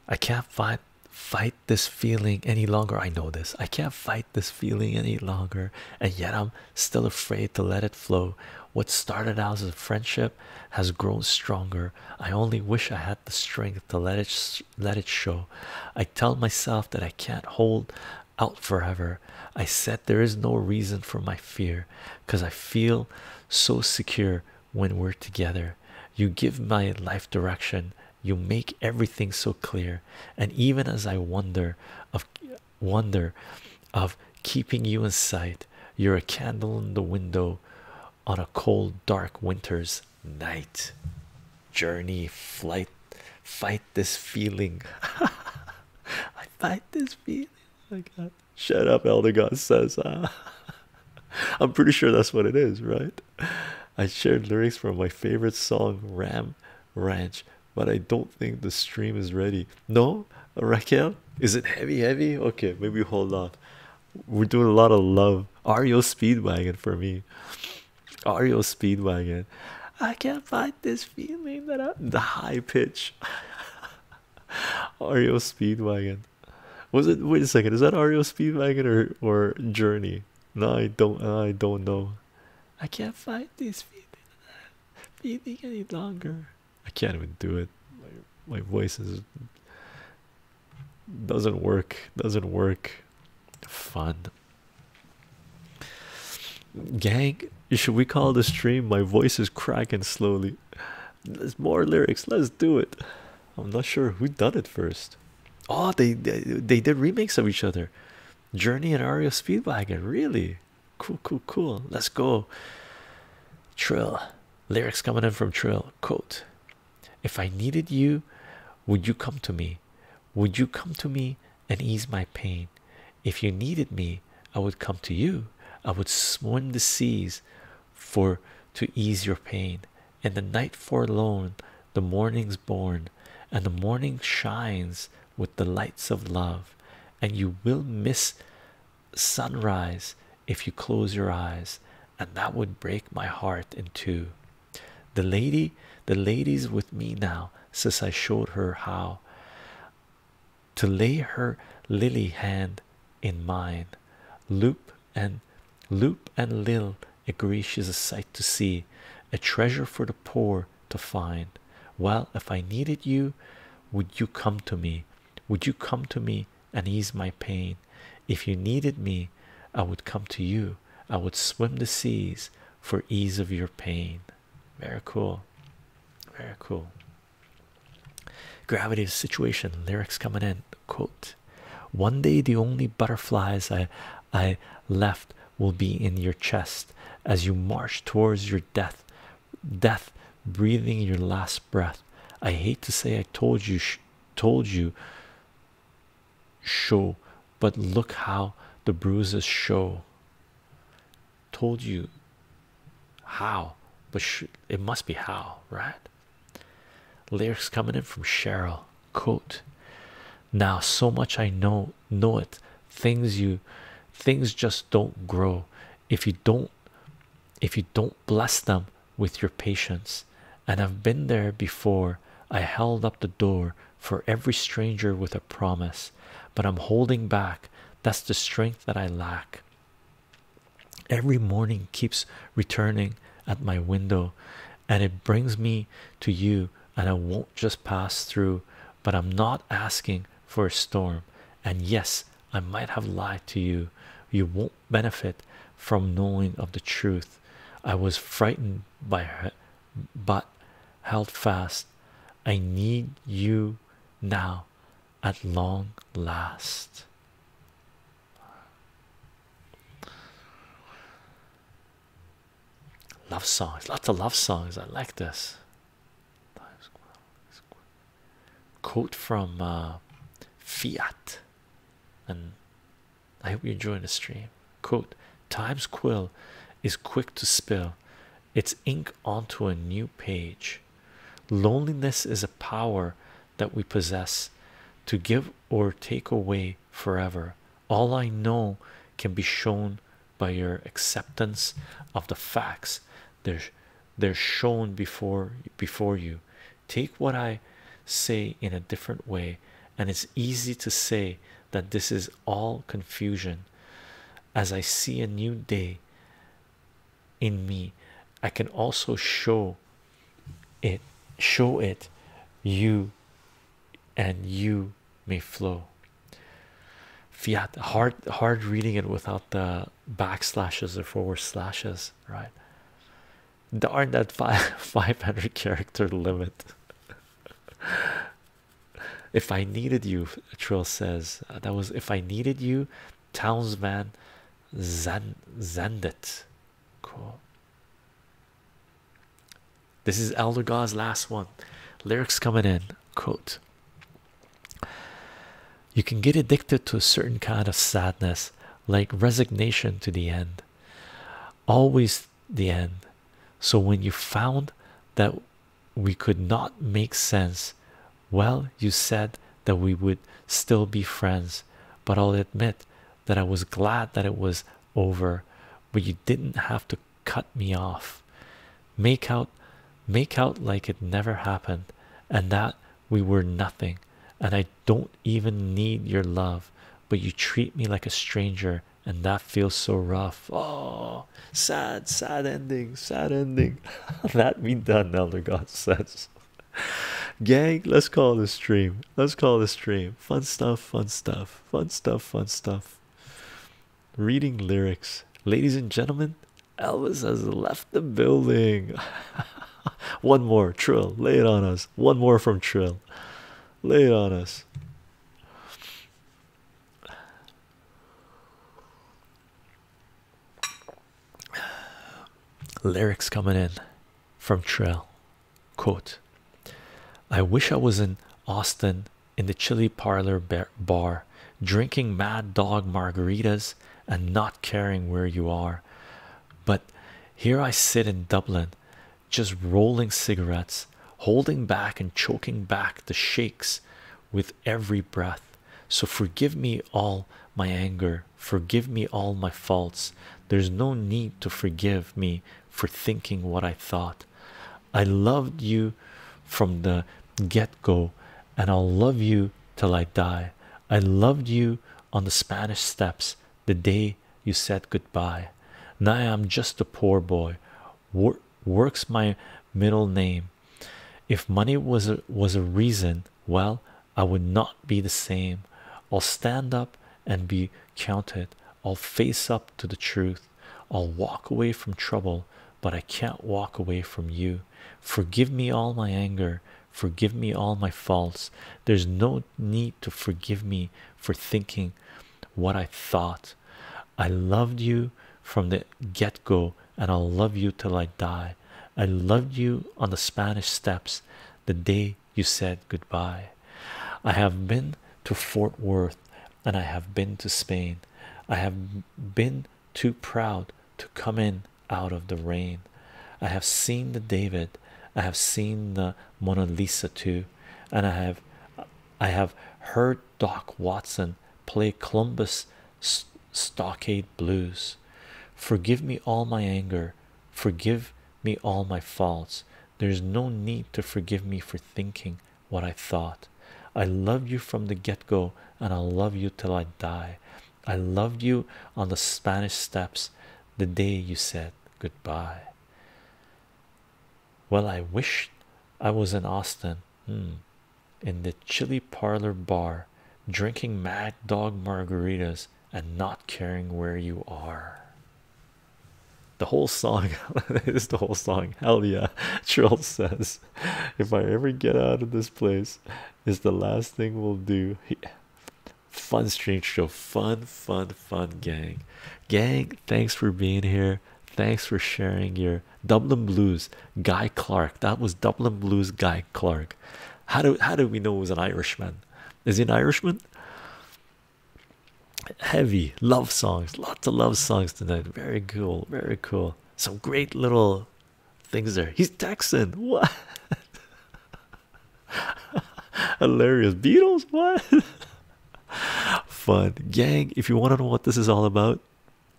I can't fight fight this feeling any longer. I know this. I can't fight this feeling any longer, and yet I'm still afraid to let it flow. What started out as a friendship has grown stronger. I only wish I had the strength to let it let it show. I tell myself that I can't hold out forever. I said there is no reason for my fear because I feel so secure when we're together. You give my life direction. You make everything so clear and even as i wonder of wonder of keeping you in sight you're a candle in the window on a cold dark winter's night journey flight fight this feeling (laughs) i fight this feeling oh shut up elder god says ah. (laughs) i'm pretty sure that's what it is right i shared lyrics from my favorite song ram ranch, but I don't think the stream is ready. No, Raquel, is it heavy? Heavy? Okay, maybe hold on. We're doing a lot of love. Ario Speedwagon for me. Ario Speedwagon. I can't fight this feeling that I am the high pitch. (laughs) Ario Speedwagon. Was it wait a second, is that Ario Speedwagon or or Journey? No, I don't I don't know. I can't fight these feeding any longer. I can't even do it. My, my voice is doesn't work. Doesn't work. Fun. Gang, should we call the stream? My voice is cracking slowly. There's more lyrics. Let's do it. I'm not sure who done it first. Oh, they they, they did remakes of each other. Journey in Ario Speedwagon, really cool, cool, cool. Let's go. Trill lyrics coming in from Trill. Quote If I needed you, would you come to me? Would you come to me and ease my pain? If you needed me, I would come to you. I would swim the seas for to ease your pain. And the night forlorn, the morning's born, and the morning shines with the lights of love, and you will miss sunrise if you close your eyes, and that would break my heart in two. The lady, the lady's with me now, since I showed her how to lay her lily hand in mine. Loop and Loop and Lil agree she's a sight to see, a treasure for the poor to find well if i needed you would you come to me would you come to me and ease my pain if you needed me i would come to you i would swim the seas for ease of your pain very cool very cool Gravity's situation lyrics coming in quote one day the only butterflies i I left will be in your chest as you march towards your death, death breathing your last breath. I hate to say I told you, told you, show, but look how the bruises show. Told you how, but it must be how, right? Lyrics coming in from Cheryl. Quote Now, so much I know know it things you things just don't grow if you don't if you don't bless them with your patience and i've been there before i held up the door for every stranger with a promise but i'm holding back that's the strength that i lack every morning keeps returning at my window and it brings me to you and i won't just pass through but I'm not asking for a storm. And yes, I might have lied to you. You won't benefit from knowing of the truth. I was frightened by her, but held fast. I need you now at long last. Love songs, lots of love songs. I like this. Quote from uh, Fiat, and I hope you are enjoying the stream. Quote: Time's quill is quick to spill its ink onto a new page. Loneliness is a power that we possess to give or take away forever. All I know can be shown by your acceptance of the facts they're they're shown before before you take what i say in a different way and it's easy to say that this is all confusion as i see a new day in me i can also show it show it you and you may flow Fiat hard hard reading it without the backslashes or forward slashes, right? Aren't that five (laughs) five hundred character limit. (laughs) if I needed you, Trill says uh, that was if I needed you, Townsman Zand Zandit. Cool. This is Elder God's last one. Lyrics coming in. Quote You can get addicted to a certain kind of sadness, like resignation to the end. Always the end. So when you found that we could not make sense, well, you said that we would still be friends, but I'll admit that I was glad that it was over, but you didn't have to cut me off make out make out like it never happened and that we were nothing and i don't even need your love but you treat me like a stranger and that feels so rough oh sad sad ending sad ending (laughs) that we done elder god says gang let's call this stream let's call this stream fun stuff fun stuff fun stuff fun stuff Reading lyrics, ladies and gentlemen. Elvis has left the building. (laughs) One more, Trill, lay it on us. One more from Trill, lay it on us. Lyrics coming in from Trill. Quote I wish I was in Austin in the chilly parlor bar, drinking mad dog margaritas and not caring where you are. But here I sit in Dublin, just rolling cigarettes, holding back and choking back the shakes with every breath. So forgive me all my anger, forgive me all my faults. There's no need to forgive me for thinking what I thought. I loved you from the get-go and I'll love you till I die. I loved you on the Spanish steps the day you said goodbye. Now I'm just a poor boy. works my middle name. If money was was a reason, well, I would not be the same. I'll stand up and be counted. I'll face up to the truth. I'll walk away from trouble but I can't walk away from you. Forgive me all my anger, forgive me all my faults. There's no need to forgive me for thinking what I thought. I loved you from the get go, and I'll love you till I die. I loved you on the Spanish steps the day you said goodbye. I have been to Fort Worth and I have been to Spain. I have been too proud to come in out of the rain. I have seen the David, I have seen the Mona Lisa too, and I have I have heard Doc Watson play Columbus St Stockade Blues. Forgive me all my anger, forgive me all my faults. There's no need to forgive me for thinking what I thought. I loved you from the get go, and I'll love you till I die. I loved you on the Spanish steps the day you said goodbye. Well, I wish I was in Austin hmm, in the chilly parlor bar drinking mad dog margaritas and not caring where you are. The whole song (laughs) is the whole song. Hell yeah, (laughs) Trill says. If I ever get out of this place, it's the last thing we'll do. Fun stream show. Fun, fun, fun, gang. Gang, thanks for being here. Thanks for sharing your Dublin Blues Guy Clark. That was Dublin Blues Guy Clark. How do how do we know it was an Irishman? Is he an Irishman? Heavy love songs, lots of love songs tonight. Very cool, very cool. Some great little things there. He's Texan. What? (laughs) Hilarious. Beatles? What? (laughs) Fun. Gang, if you want to know what this is all about,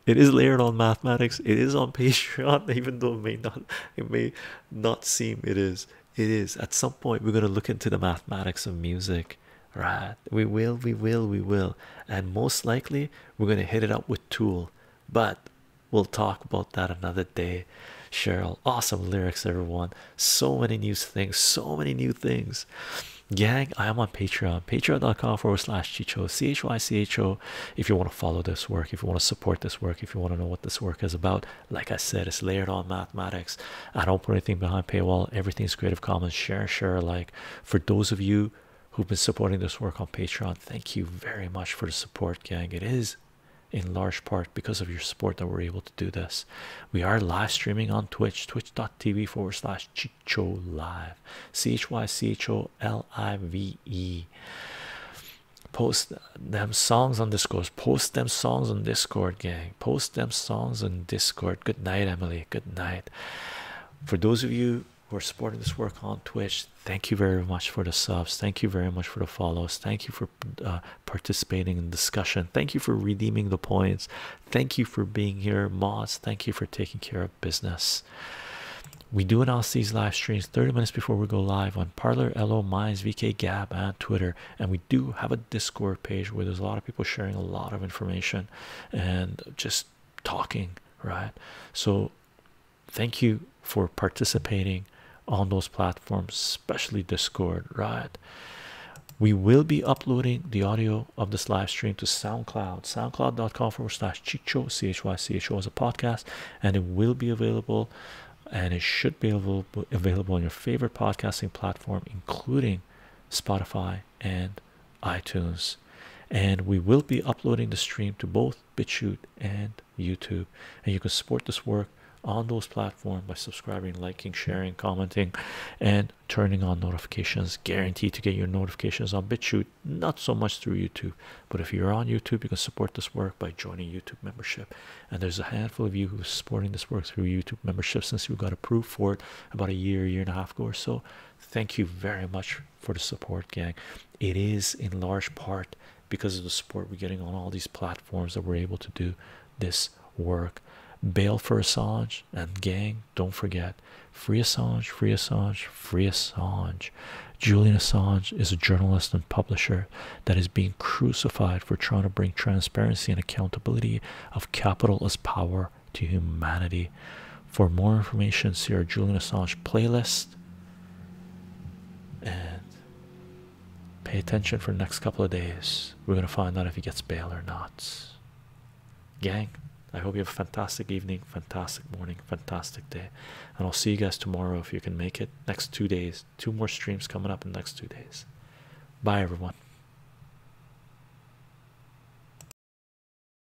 it is layered on mathematics. It is on (laughs) Patreon, even though it may not it may not seem it is. It is. At some point we're gonna look into the mathematics of music. Right. We will, we will, we will. And most likely we're gonna hit it up with Tool, but we'll talk about that another day. Cheryl, awesome lyrics, everyone. So many new things, so many new things. Gang, I am on Patreon, patreon.com forward slash Chicho, C H Y C H O. If you want to follow this work, if you want to support this work, if you want to know what this work is about, like I said, it's layered on mathematics. I don't put anything behind paywall, everything's Creative Commons, share, share, like. For those of you who've been supporting this work on Patreon. Thank you very much for the support, gang. It is in large part because of your support that we're able to do this. We are live streaming on Twitch, twitch.tv forward slash Chicho Live. C H Y C H O L I V E. Post them songs on Discord. Post them songs on Discord, gang. Post them songs on Discord. Good night, Emily. Good night. For those of you we are supporting this work on Twitch, thank you very much for the subs. Thank you very much for the follows. Thank you for uh, participating in discussion. Thank you for redeeming the points. Thank you for being here, mods. Thank you for taking care of business. We do announce these live streams 30 minutes before we go live on Parlor, Elo, Minds, VK, Gab, and Twitter. And we do have a Discord page where there's a lot of people sharing a lot of information and just talking right so thank you for participating on those platforms especially discord right we will be uploading the audio of this live stream to soundcloud soundcloud.com forward slash chicho chycho as a podcast and it will be available and it should be available available on your favorite podcasting platform including spotify and iTunes. And we will be uploading the stream to both BitChute and YouTube. And you can support this work on those platforms by subscribing, liking, sharing, commenting, and turning on notifications. Guaranteed to get your notifications on BitChute, not so much through YouTube. But if you're on YouTube, you can support this work by joining YouTube membership. And there's a handful of you who are supporting this work through YouTube membership since we got approved for it about a year, year and a half ago or so. Thank you very much for the support, gang. It is in large part because of the support we're getting on all these platforms that we're able to do this work. Bail for Assange and gang, don't forget. Free Assange, free Assange, free Assange. Julian Assange is a journalist and publisher that is being crucified for trying to bring transparency and accountability of capital as power to humanity. For more information, see our Julian Assange playlist and pay attention for the next couple of days. We're going to find out if he gets bail or not. Gang, I hope you have a fantastic evening, fantastic morning, fantastic day. And I'll see you guys tomorrow if you can make it. Next two days, two more streams coming up in the next two days. Bye, everyone.